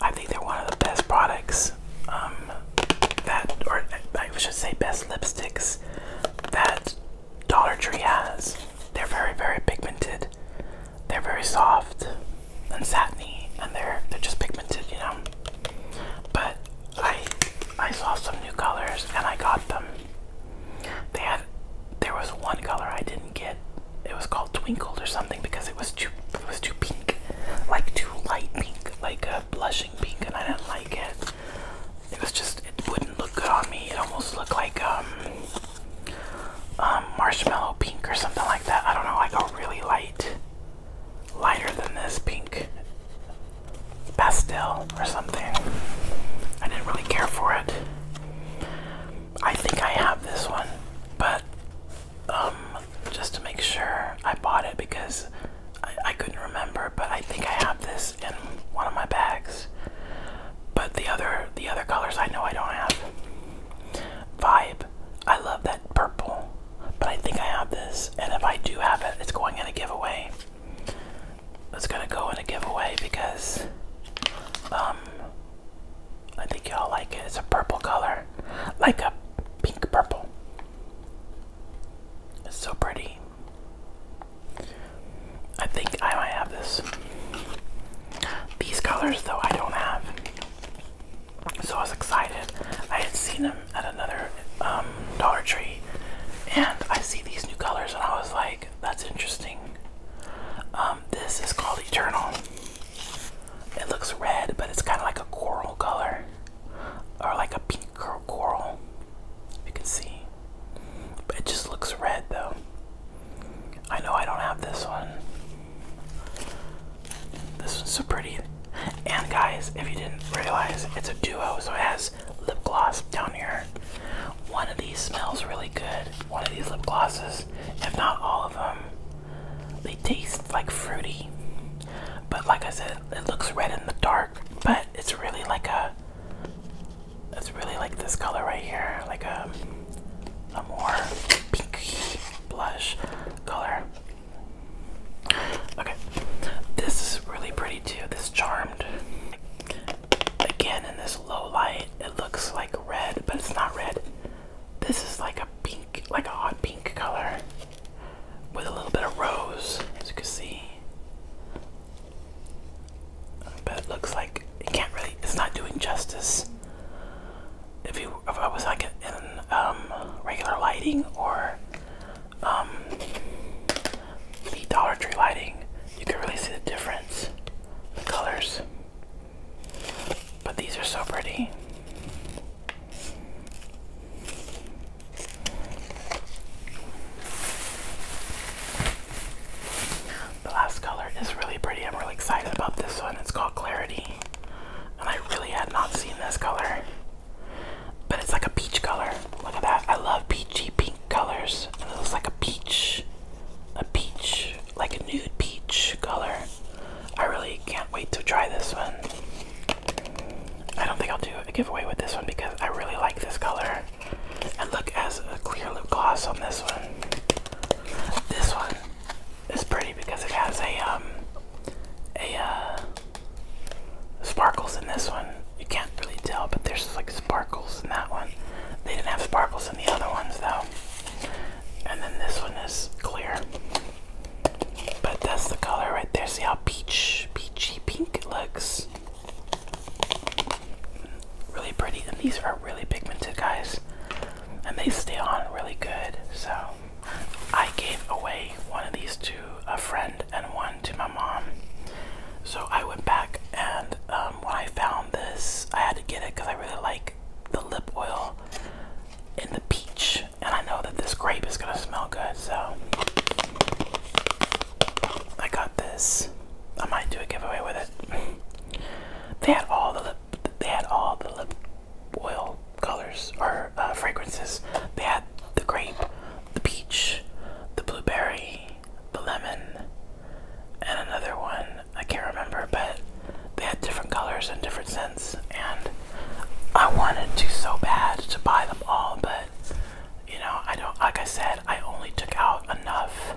I think they're one of the best products. that, or I should say, best lipsticks that Dollar Tree has. They're very, very pigmented. They're very soft and satiny, and they're they're just pigmented, you know. But I I saw some new colors and I got them. They had there was one color I didn't get. It was called Twinkled or something because it was too it was too pink, like too light pink, like a blushing pink, and I didn't like it. It was just it wouldn't look good on me. It almost looked like um um, marshmallow pink or something like that. I don't know, like a really light, lighter than this pink pastel or something. I didn't really care for it. I think I have this one, but um, just to make sure I bought it because I couldn't remember, but I think I have this in one of my bags. But the other the other colors I know I don't have. Vibe. I love that purple. But I think I have this. And if I do have it, it's going in a giveaway. It's gonna go in a giveaway because um I think y'all like it. It's a purple color. Like a pink purple. It's so pretty. I think I might have this. These colors, though, I don't have. So I was excited. I had seen them at another um, Dollar Tree, and I see these new colors, and I was like, that's interesting. Um, this is called Eternal. It looks red, but it's kind of like a coral color, or like a pink coral. You can see. But it just looks red, though. I know I don't have this one. This one's so pretty. And guys, if you didn't realize, it's a duo, so it has lip gloss down here. One of these smells really good. One of these lip glosses, if not all of them. They taste like fruity. But like I said, it looks red in the dark, but it's really like a it's really like this color right here, like a a more pinky blush color. Okay, this is really pretty too. This charmed. Again, in this low light, it looks like red, but it's not red. This is like a pink, like a hot pink color with a little bit of rose, as you can see but it looks like it can't really. It's not doing justice. If you, if I was like in um, regular lighting or um, the Dollar Tree lighting, you could really see the difference, the colors. But these are so pretty. The last color is really pretty. I'm really excited about this one. It's called Clarity. And I really had not seen this color. But it's like a peach color. Look at that. I love peachy pink colors. And it looks like a peach. A peach. Like a nude peach color. I really can't wait to try this one. I don't think I'll do a giveaway with this one because I really like this color. And look as a clear lip gloss on this one. This one is pretty because it has a um, a uh, sparkles in this one. You can't really tell, but there's like sparkles in that one. They didn't have sparkles in the other ones though. And then this one is clear. But that's the color right there. See how peach peachy pink it looks. Really pretty, and these are really pigmented, guys and they stay on really good. So I gave away one of these to a friend and one to my mom. So I went back and um, when I found this, I had to get it because I really like the lip oil in the peach, and I know that this grape is gonna smell good. So I got this. I might do a giveaway with it. They had all the lip they had all the oil colors or uh, fragrances. They had the grape, the peach, the blueberry, the lemon, and another one I can't remember, but they had different colors and different scents. And I wanted to so bad to buy them all, but you know, I don't. Like I said, I only took out enough,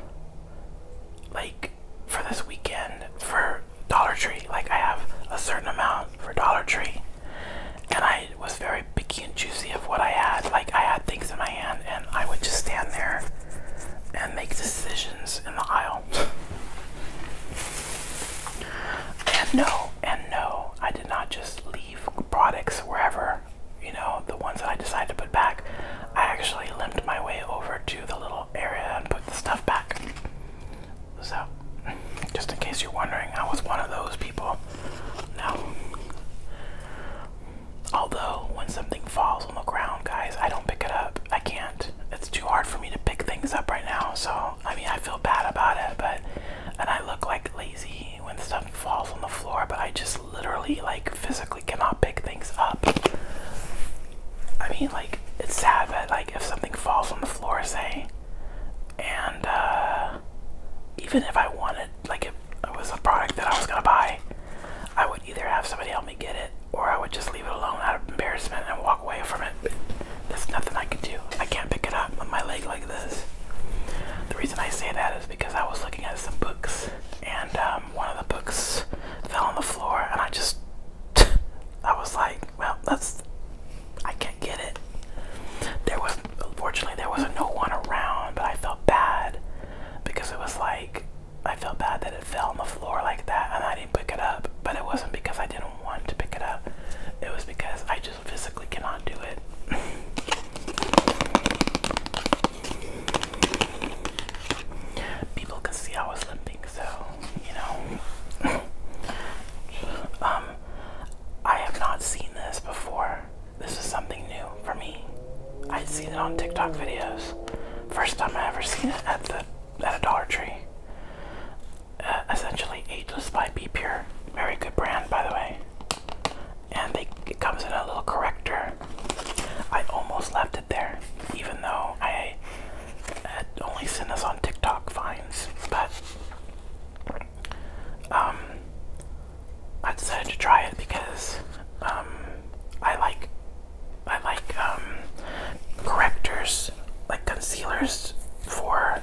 like for this weekend for Dollar Tree. Like I have a certain amount for Dollar Tree, and I was very picky and choosy of what I had. Like I had things in my hand, and I would just stand there and make decisions in the aisle. and no, and no, I did not just leave products wherever. You know, the ones that I decided to put back, I actually limped my way over to the little area and put the stuff back. So, just in case you're wondering, I was one of those people. Now, although when something falls on the ground, guys, I don't pick it up. I can't. It's too hard for me to pick things up right now. So, I mean, I feel bad about it, but and I look like lazy when stuff falls on the floor, but I just literally like physically we cannot pick things up. I mean, like, it's sad that, like, if something falls on the floor, say, and, uh, even if I wanted, like, if it was a product that I was gonna buy, I would either have somebody help me get it or I would just leave it alone out of embarrassment and walk away from it. There's nothing I can do. I can't pick it up with my leg like this. The reason I say that is because I was looking at some books and, uh, um, one of the books fell on the floor, and I just, I was like, well, that's, I can't get it. There was, fortunately, there wasn't no one around, but I felt bad because it was like, I felt bad that it fell on the floor like that, and I didn't pick it up. But it wasn't because I didn't want to pick it up. It was because I just physically cannot do it. people could see I was limping, so you know. um, I have not seen this before. This is something new for me. i have seen it on TikTok videos. First time I ever seen it at the at a Dollar Tree. Uh, essentially, Ageless by B Pure. Very good brand, by the way. And it comes in a little corrector I almost left it there, even though I had only sent this on TikTok finds, but um, I decided to try it because um, I like I like um, correctors, like concealers for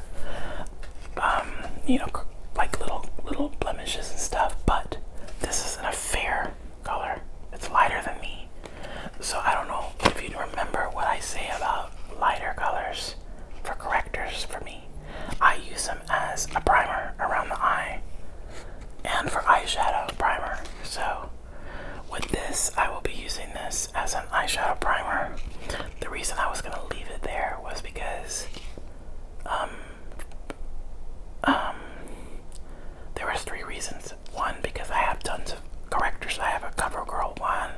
um, you know like little little blemishes and stuff, but this isn't a fair color. It's lighter than me. So I don't know if you remember what I say about lighter colors for correctors for me. I use them as a primer around the eye and for eyeshadow primer. So with this, I will be using this as an eyeshadow primer. The reason I was going to leave it there was because um, um, there was three reasons one because I have tons of correctors. I have a CoverGirl one,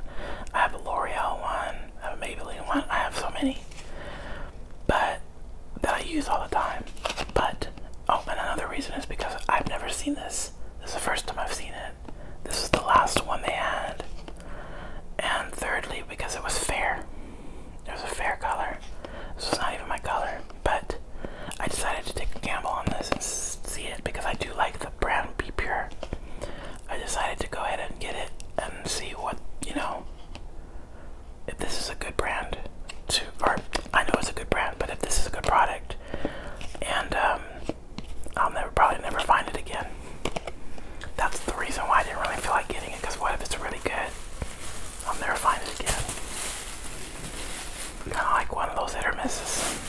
I have a L'Oreal one, I have a Maybelline one. I have so many, but that I use all the time. But oh, and another reason is because I've never seen this. This is the first time I've seen it. This is the last one they had. And thirdly, because it was fair. It was a fair color. This was not even my color, but I decided to take a gamble on this and see it because I do like the brown Be Pure. I decided to go ahead and get it and see what, you know, if this is a good brand to, or I know it's a good brand, but if this is a good product, and um, I'll never probably never find it again. That's the reason why I didn't really feel like getting it because what if it's really good? I'll never find it again. Kind of like one of those hit or misses.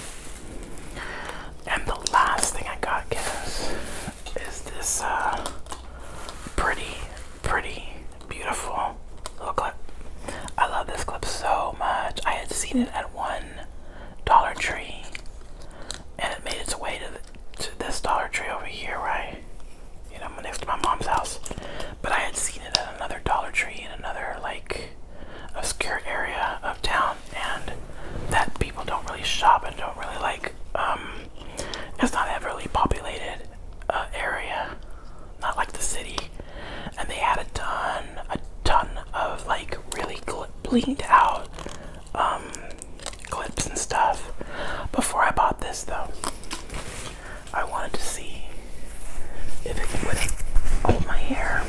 And the last thing I got, guys, is this uh, pretty, pretty, beautiful little clip. I love this clip so much. I had seen it at one Dollar Tree, and it made its way to this Dollar Tree over here, right? You know, next to my mom's house. But I had seen it at another Dollar Tree in another like obscure area of town and that people don't really shop and don't really like. Um, it's not a really populated uh, area, not like the city. And they had a ton, a ton of like really blinged out um, clips and stuff before I bought this though. I wanted to see if it would hold my hair.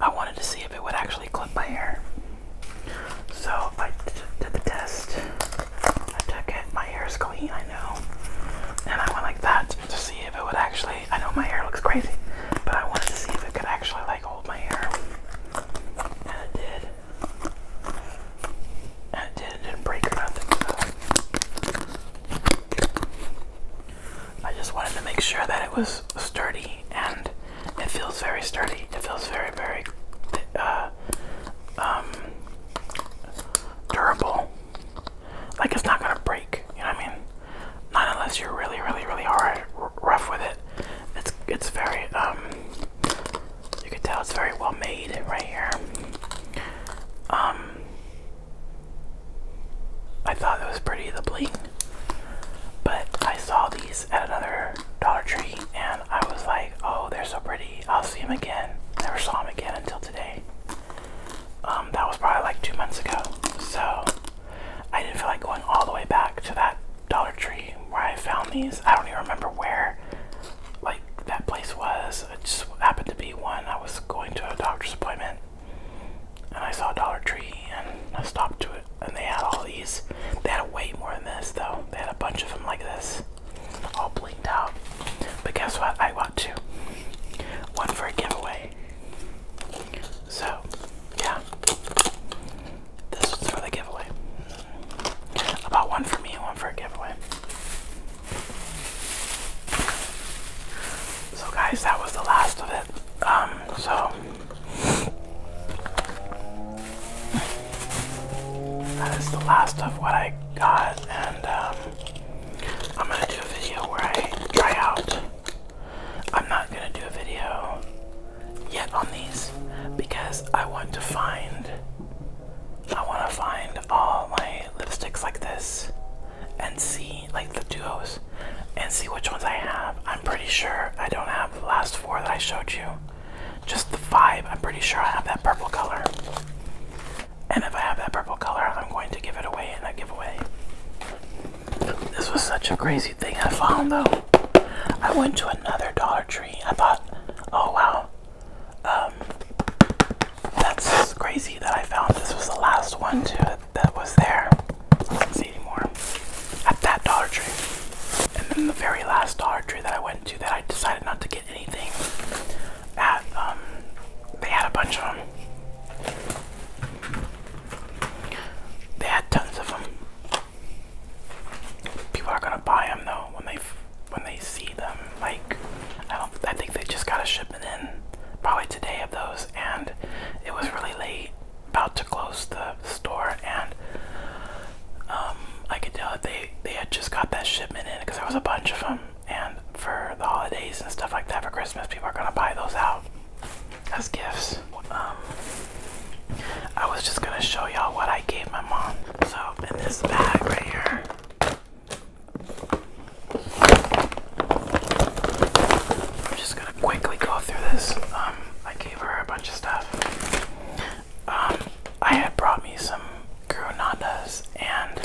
I wanted to see if it would actually clip my hair. So I did the test. I took it. My hair is clean, I know. And I went like that to see if it would actually. I know my hair looks crazy, but I wanted to see if it could actually like hold my hair. And it did. And it did. It didn't break or nothing. So. I just wanted to make sure that it was sturdy, and it feels very sturdy. It feels very, very uh, um, durable. Like it's not gonna break. You know what I mean? Not unless you're really, really, really hard, rough with it. It's it's very um. You can tell it's very well made right here. Um, I thought it was pretty, the bling. But I saw these at another Dollar Tree and I was like, oh, they're so pretty. I'll see them again. Never saw them again until today. Um, that was probably like two months ago. So I didn't feel like going all the way back to that Dollar Tree where I found these. I don't even remember where like that place was. It just happened to be one. I was going to a doctor's appointment and I saw Dollar Tree and I stopped to it. And they had all these. They had way more than this though. They had a bunch of them like this. All blinked out. But guess what? I want two. One for a giveaway. So, yeah. This one's for the giveaway. About one for me and one for a giveaway. So guys, that was the last of it. Um, so that is the last of what I got, and um, I'm gonna do a video where I try out. I'm not gonna do a video yet on these because I want to find. I want to find all my lipsticks like this and see like the duos and see which ones I have. I'm pretty sure I don't have the last four that I showed you. Just the five. I'm pretty sure I have that purple color. And if I have that purple color, I'm going to give it away in a giveaway. This was such a crazy thing I found though. I went to another Dollar Tree. I thought, oh wow. Um, that's crazy that I found this was the last one too that was there. I did see anymore at that Dollar Tree. And then the very last Dollar Tree that I went to that I decided not to get anything at, um, they had a bunch of them. They had tons of them. People are gonna buy them though when they when they see them. Like I don't. I think they just gotta ship and then probably today of those. And it was really late, about to close the store, and um, I could tell that they they had just got that shipment in because there was a bunch of them. And for the holidays and stuff like that, for Christmas, people are gonna buy those out as gifts. Um, I was just gonna show y'all what I gave my mom. So in this bag right here, I'm just gonna quickly go through this. Um, I gave her a bunch of stuff. Um, I had brought me some Grunandas and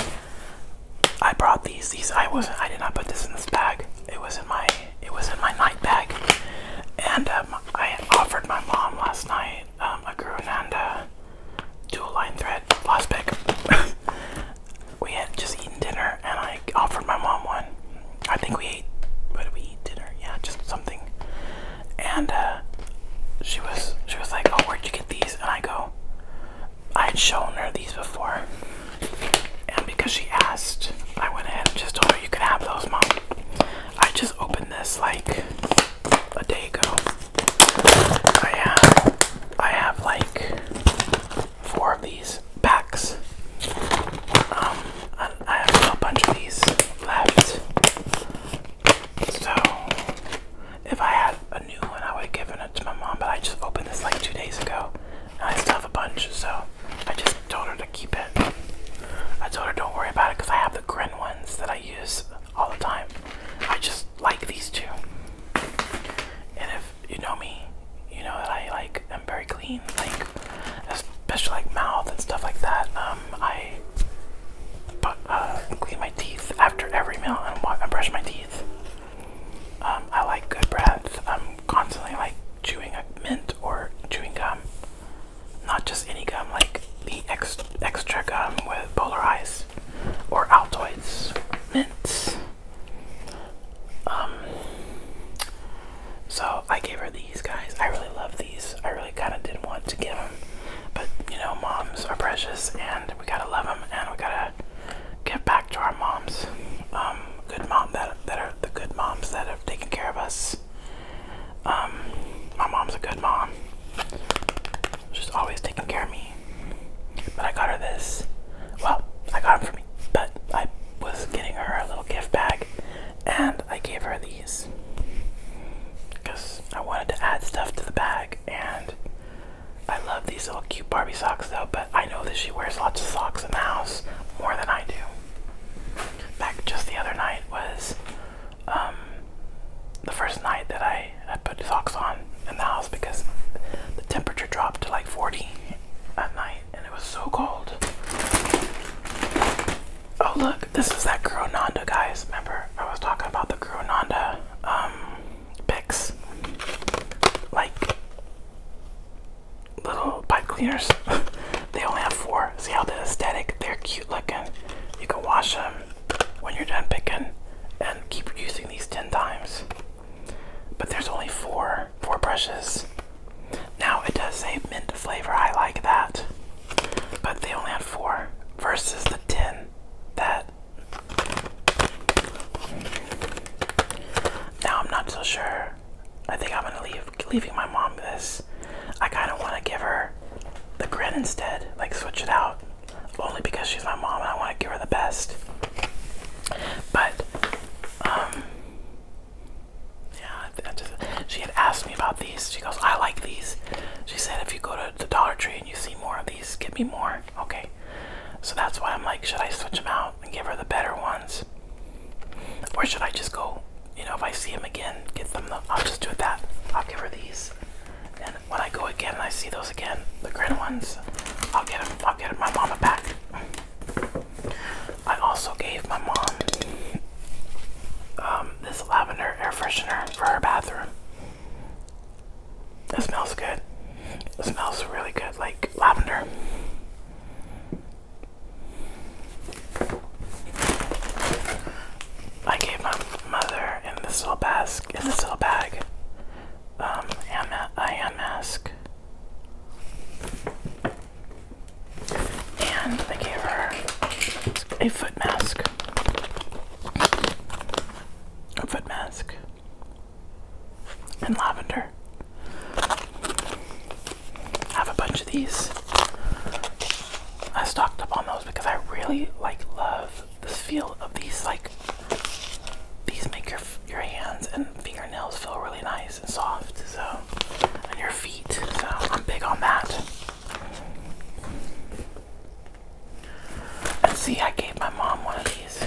I brought these. These I wasn't. I did not put this in this bag. It was in my. It was in my night bag. And um, I offered my mom last night um, a Grunanda dual line thread floss pick. we had just eaten dinner and I offered my mom one. I think we ate, what did we eat? Dinner? Yeah, just something. And uh, she was she was like, oh, where'd you get these? And I go, I had shown her these before. And because she asked, I went ahead and just told her you can have those, mom. I just opened this like a day ago. I have, I have like four of these packs. Um, I have a bunch of these left. So, if I had a new one, I would have given it to my mom, but I just opened this like two days ago. And I still have a bunch, so I just told her to keep it. I told her don't worry about it because I have the green ones that I use all the time. I just like these two. And if you know me, you know that I like am very clean, like especially like mouth and stuff like that. Um, I uh, clean my teeth after every meal and I brush my teeth. Um, I like good breath. I'm constantly like chewing a mint or chewing gum, not just any gum, like the extra gum with polar ice or Altoids mints. Um, so I gave her these guys. I really love these. I really kind of didn't want to give them, but you know, moms are precious, and we gotta love them, and we gotta give back to our moms. Um, good mom that that are the good moms that have taken care of us. Um, my mom's a good mom. She's always taking care of me. But I got her this. Well, I got them for me, but I was getting her a little gift bag and I gave her these because I wanted to add stuff to the bag. And I love these little cute Barbie socks though, but I know that she wears lots of socks in the house more than I do. Back just the other night was um, the first night that I put socks on in the house because the temperature dropped to like 40 at night and it was so cold. Oh look, this is that girl guys. Remember I was talking about the girl um picks like little pipe cleaners. they only have four. See how they're aesthetic, they're cute looking. You can wash them when you're done picking and keep using these 10 times. But there's only four four brushes. Now it does say mint flavor, I like that. But they only have four versus the ten that now I'm not so sure. I think I'm gonna leave leaving my mom this. I kinda wanna give her the grin instead, like switch it out. Only because she's my mom and I wanna give her the best. But, um, yeah, she had asked me about these. She goes, I like these. She said, if you go to the Dollar Tree and you see more of these, get me more. Okay. So that's why I'm like, should I switch them out and give her the better ones? Or should I just go, you know, if I see them again, get them, the, I'll just do it that. I'll give her these. And when I go again and I see those again, the green ones, I'll get them I'm getting my mom a pack. I also gave my mom um, this lavender air freshener for her bathroom. It smells good. It smells really good, like lavender. I gave my mother in this little basket, in this little bag, um, mask. And I gave her a foot mask. A foot mask. And lavender. I have a bunch of these. I stocked up on those because I really like love the feel of these like these make your your hands and fingernails feel really nice and soft. So and your feet. So I'm big on that. And see, I gave my mom one of these.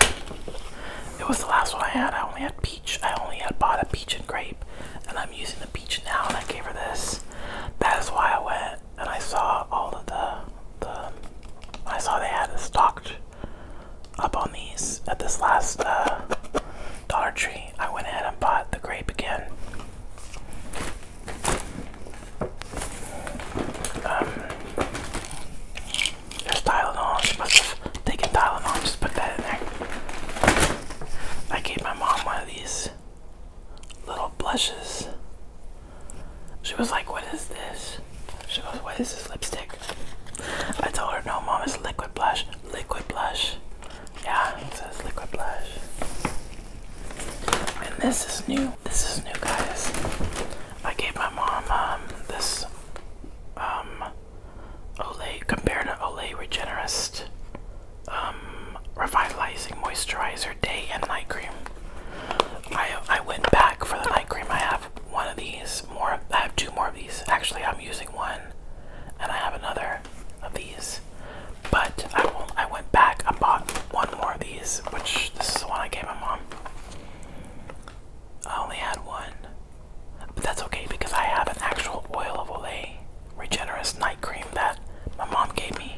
It was the last one I had. I only had peach. I only had bought a peach and grape, and I'm using the peach now. And I gave her this. That is why I went and I saw all of the the. I saw they had it stocked up on these at this last uh, Dollar Tree. I went ahead and bought the grape again. Um, there's Tylenol. She must have taken Tylenol. Just put that in there. I gave my mom one of these little blushes. She was like, "What is this?" She goes, why is this lipstick? I told her, No, mom, it's liquid blush. Liquid blush. Yeah, it says liquid blush. And this is new. This is new, guys. I gave my mom um, this um, Olay, compared to Olay Regenerist um, Revitalizing Moisturizer Day and Night Cream. I, I went back for the night cream I have one of these more. I have two more of these. Actually, I'm using one, and I have another of these. But I went back. I bought one more of these, which this is the one I gave my mom. I only had one, but that's okay because I have an actual oil of Olay Regenerous Night Cream that my mom gave me,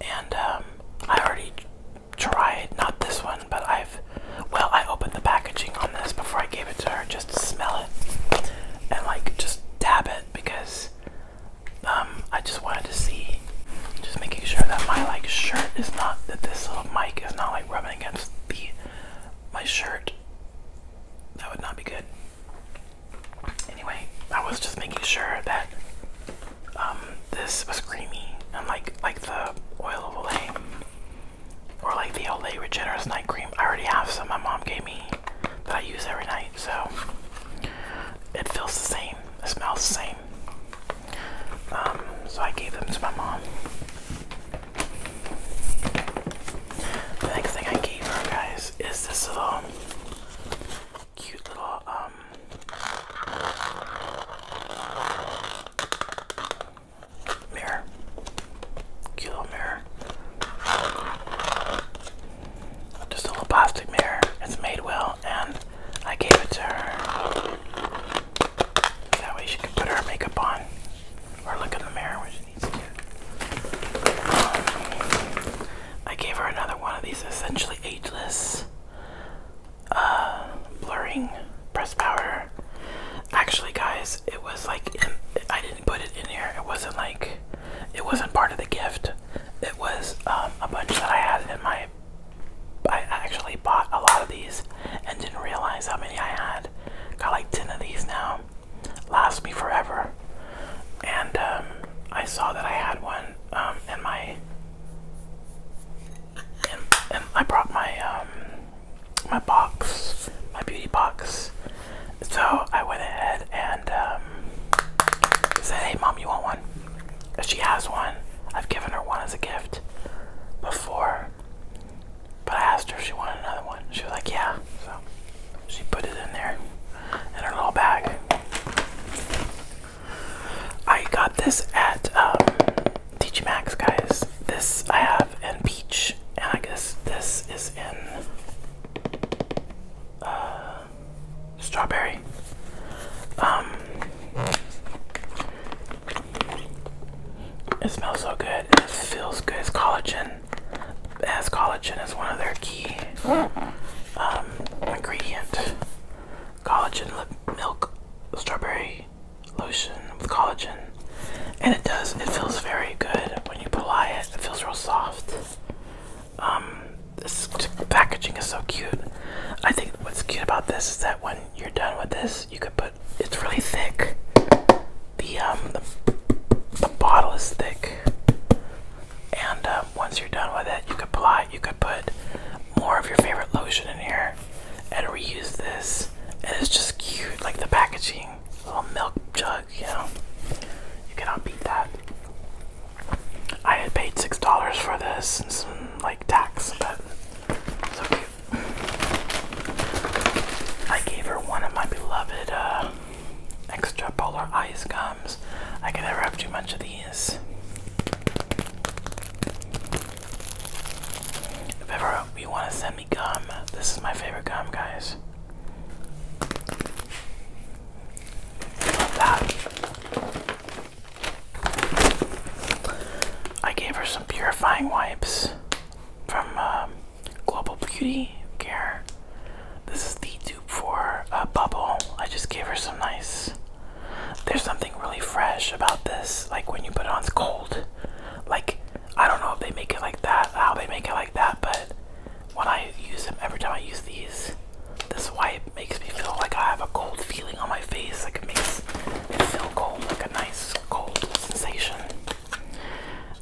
and um, I already tried, not this one, but I've, well, I opened the packaging on this before I gave it to her just to smell it and like just dab it because um, I just wanted to see, just making sure that my like shirt is not, that this little mic is not like rubbing against the, my shirt. That would not be good. Anyway, I was just making sure that um, this was creamy, and like the oil of Olay or like the LA Regenerous Night Cream. I already have some my mom gave me that I use every night, so it feels the same, it smells the same. Um, so I gave them to my mom. next thing I gave her, guys, is this little cute little um Mirror. Cute little mirror. Just a little plastic mirror. It's made well, and I gave it to her. That way she can put her makeup on. Or look in the mirror when she needs to. I gave her another one of these essentially ageless uh, blurring press power. Actually, guys, it was like I didn't put it in here. It wasn't like it wasn't part of the gift. It was um, a bunch that I had in my. I actually bought a lot of these and didn't realize how many I had. Got like ten of these now. Last me forever. And um, I saw that I had one um, in my and, I brought my um my box, my beauty box. So I went ahead and um, said, "Hey, mom, you want one?" She has one. I've given her one as a gift before, but I asked her if she wanted another one. She was like, "Yeah." So she put it in there in her little bag. I got this at um, Max guys. This I have in peach, and I guess this is in uh, strawberry. Um, it smells so good. It feels good. As collagen. As collagen is one of their key um, ingredient. Collagen milk strawberry lotion with collagen, and it does. It feels very good when you apply it. It feels real soft. Um, this packaging is so cute. I think what's cute about this is that when you're done with this, you could put. It's really thick. The um the, bottle is thick, and um, once you're done with it, you could apply. You could put more of your favorite lotion in here, and reuse this. And it's just cute, like the packaging. Little milk jug, you know. You cannot beat that. I had paid $6 for this and some like tax, but so cute. I gave her one of my beloved uh, extra polar ice gums. I can never have too much of these. If ever you want to send me gum, this is my favorite gum, guys. I gave her some purifying wipes from um, Global Beauty Care. This is the dupe for uh, bubble. I just gave her some nice there's something really fresh about this. Like when you put it on, it's cold. Like I don't know if they make it like that, how they make it like that, but when I use them, every time I use these, this wipe makes me feel like I have a cold feeling on my face. Like it makes me feel cold, like a nice cold sensation.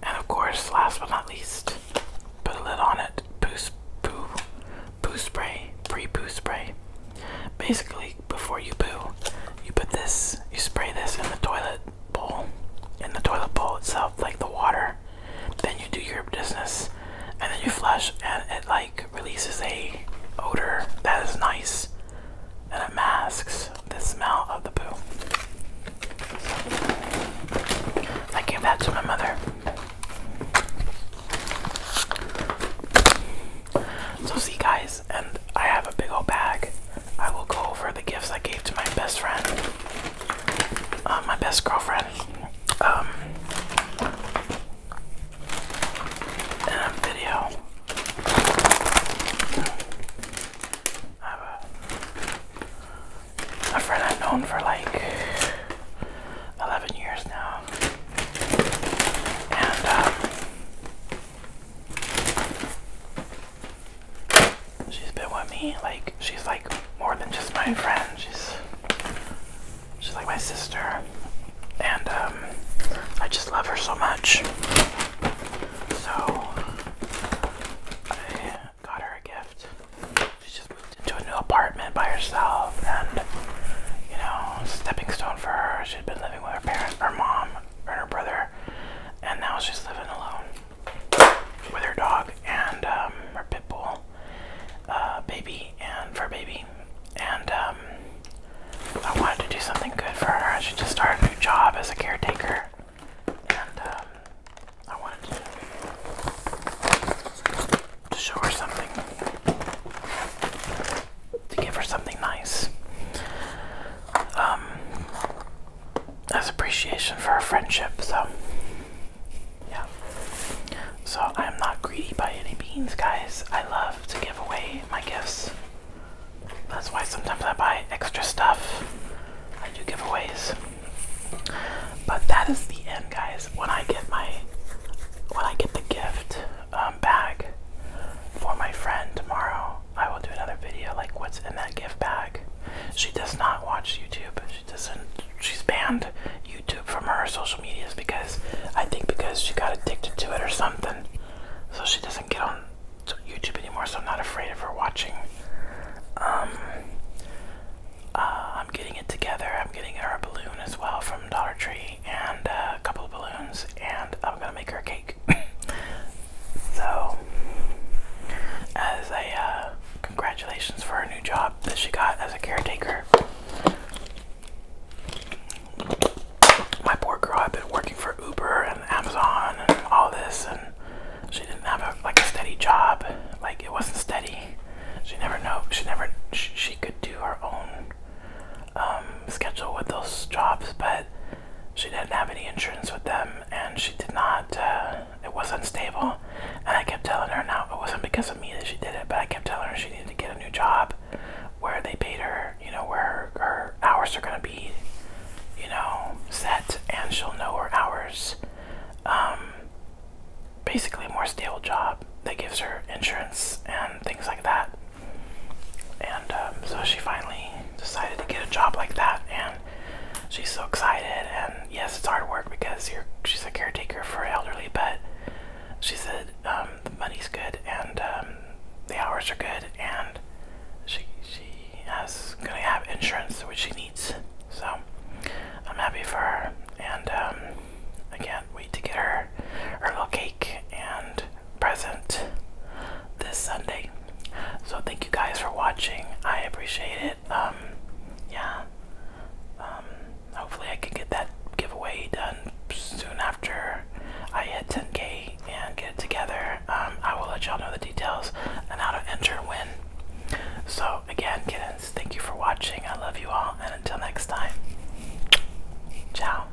And of course, last but not least, put a lid on it. Boost poo poo spray, pre poo spray. Basically, before you poo, you put this, you spray this in the toilet bowl, in the toilet bowl itself, like the water. Then you do your business, and then you flush, and it like releases a odor that is nice, and it masks the smell of the poo. I gave that to my mother. So see guys, and I have a big old bag. I will go over the gifts I gave to my best friend, uh, my best girlfriend. Um, in a video. a, a friend I've known for like 11 years now. And um, She's been with me, like, she's like more than just my friend. She's she's like my sister. And um, I just love her so much. So I got her a gift. She just moved into a new apartment by herself and you know, stepping stone for her. She'd been living with her parents her mom and her brother, and now she's living alone with her dog and um, her pit bull uh, baby and for baby. And um, I wanted to do something good for her. I should just start a new job as a caretaker. And um, I wanted to, to show her something to give her something nice. Um, as appreciation for our friendship, so yeah. So I'm not greedy by any means, guys. I love to give away my gifts. That's why sometimes I buy extra stuff. I do giveaways. But that is the end, guys. When I get my when I get the gift um, bag for my friend tomorrow. I will do another video like what's in that gift bag. She does not watch YouTube. She doesn't. She's banned YouTube from her social medias because I think because she got addicted to it or something. So she doesn't get on YouTube anymore. So I'm not afraid of her watching. Um, uh, I'm getting it together. I'm getting her a balloon as well from Dollar Tree and uh, a couple of balloons, and I'm gonna make her a cake. so, as a uh, congratulations for her new job that she got as a caretaker. My poor girl I've been working for Uber and Amazon and all this, and she didn't have a, like a steady job. Like it wasn't steady. She never know. She never. She, she could do her own um, schedule with those jobs, but she didn't have any insurance with them, and she did not. Uh, it was unstable, and I kept telling her now it wasn't because of me that she did it, but I kept telling her she needed to get a new job where they paid her, you know, where her, hours are gonna be, you know, set, and she'll know her hours. Um, basically, a more stable job that gives her insurance and things like that. And um, so she finally decided to get a job like that, and she's so excited. And yes, it's hard work because she's a caretaker for elderly, but she said um, the money's good and um, the hours are good, and she she has gonna have insurance which she needs. So I'm happy for her, and I can't wait to get her her little cake and present this Sunday. So thank you guys for watching. I appreciate it. Um, yeah. Um, hopefully I can get that giveaway done soon after I hit 10k and get it together. Um, I will let y'all know the details and how to enter and win. So again, kittens, thank you for watching. I love you all, and until next time, ciao.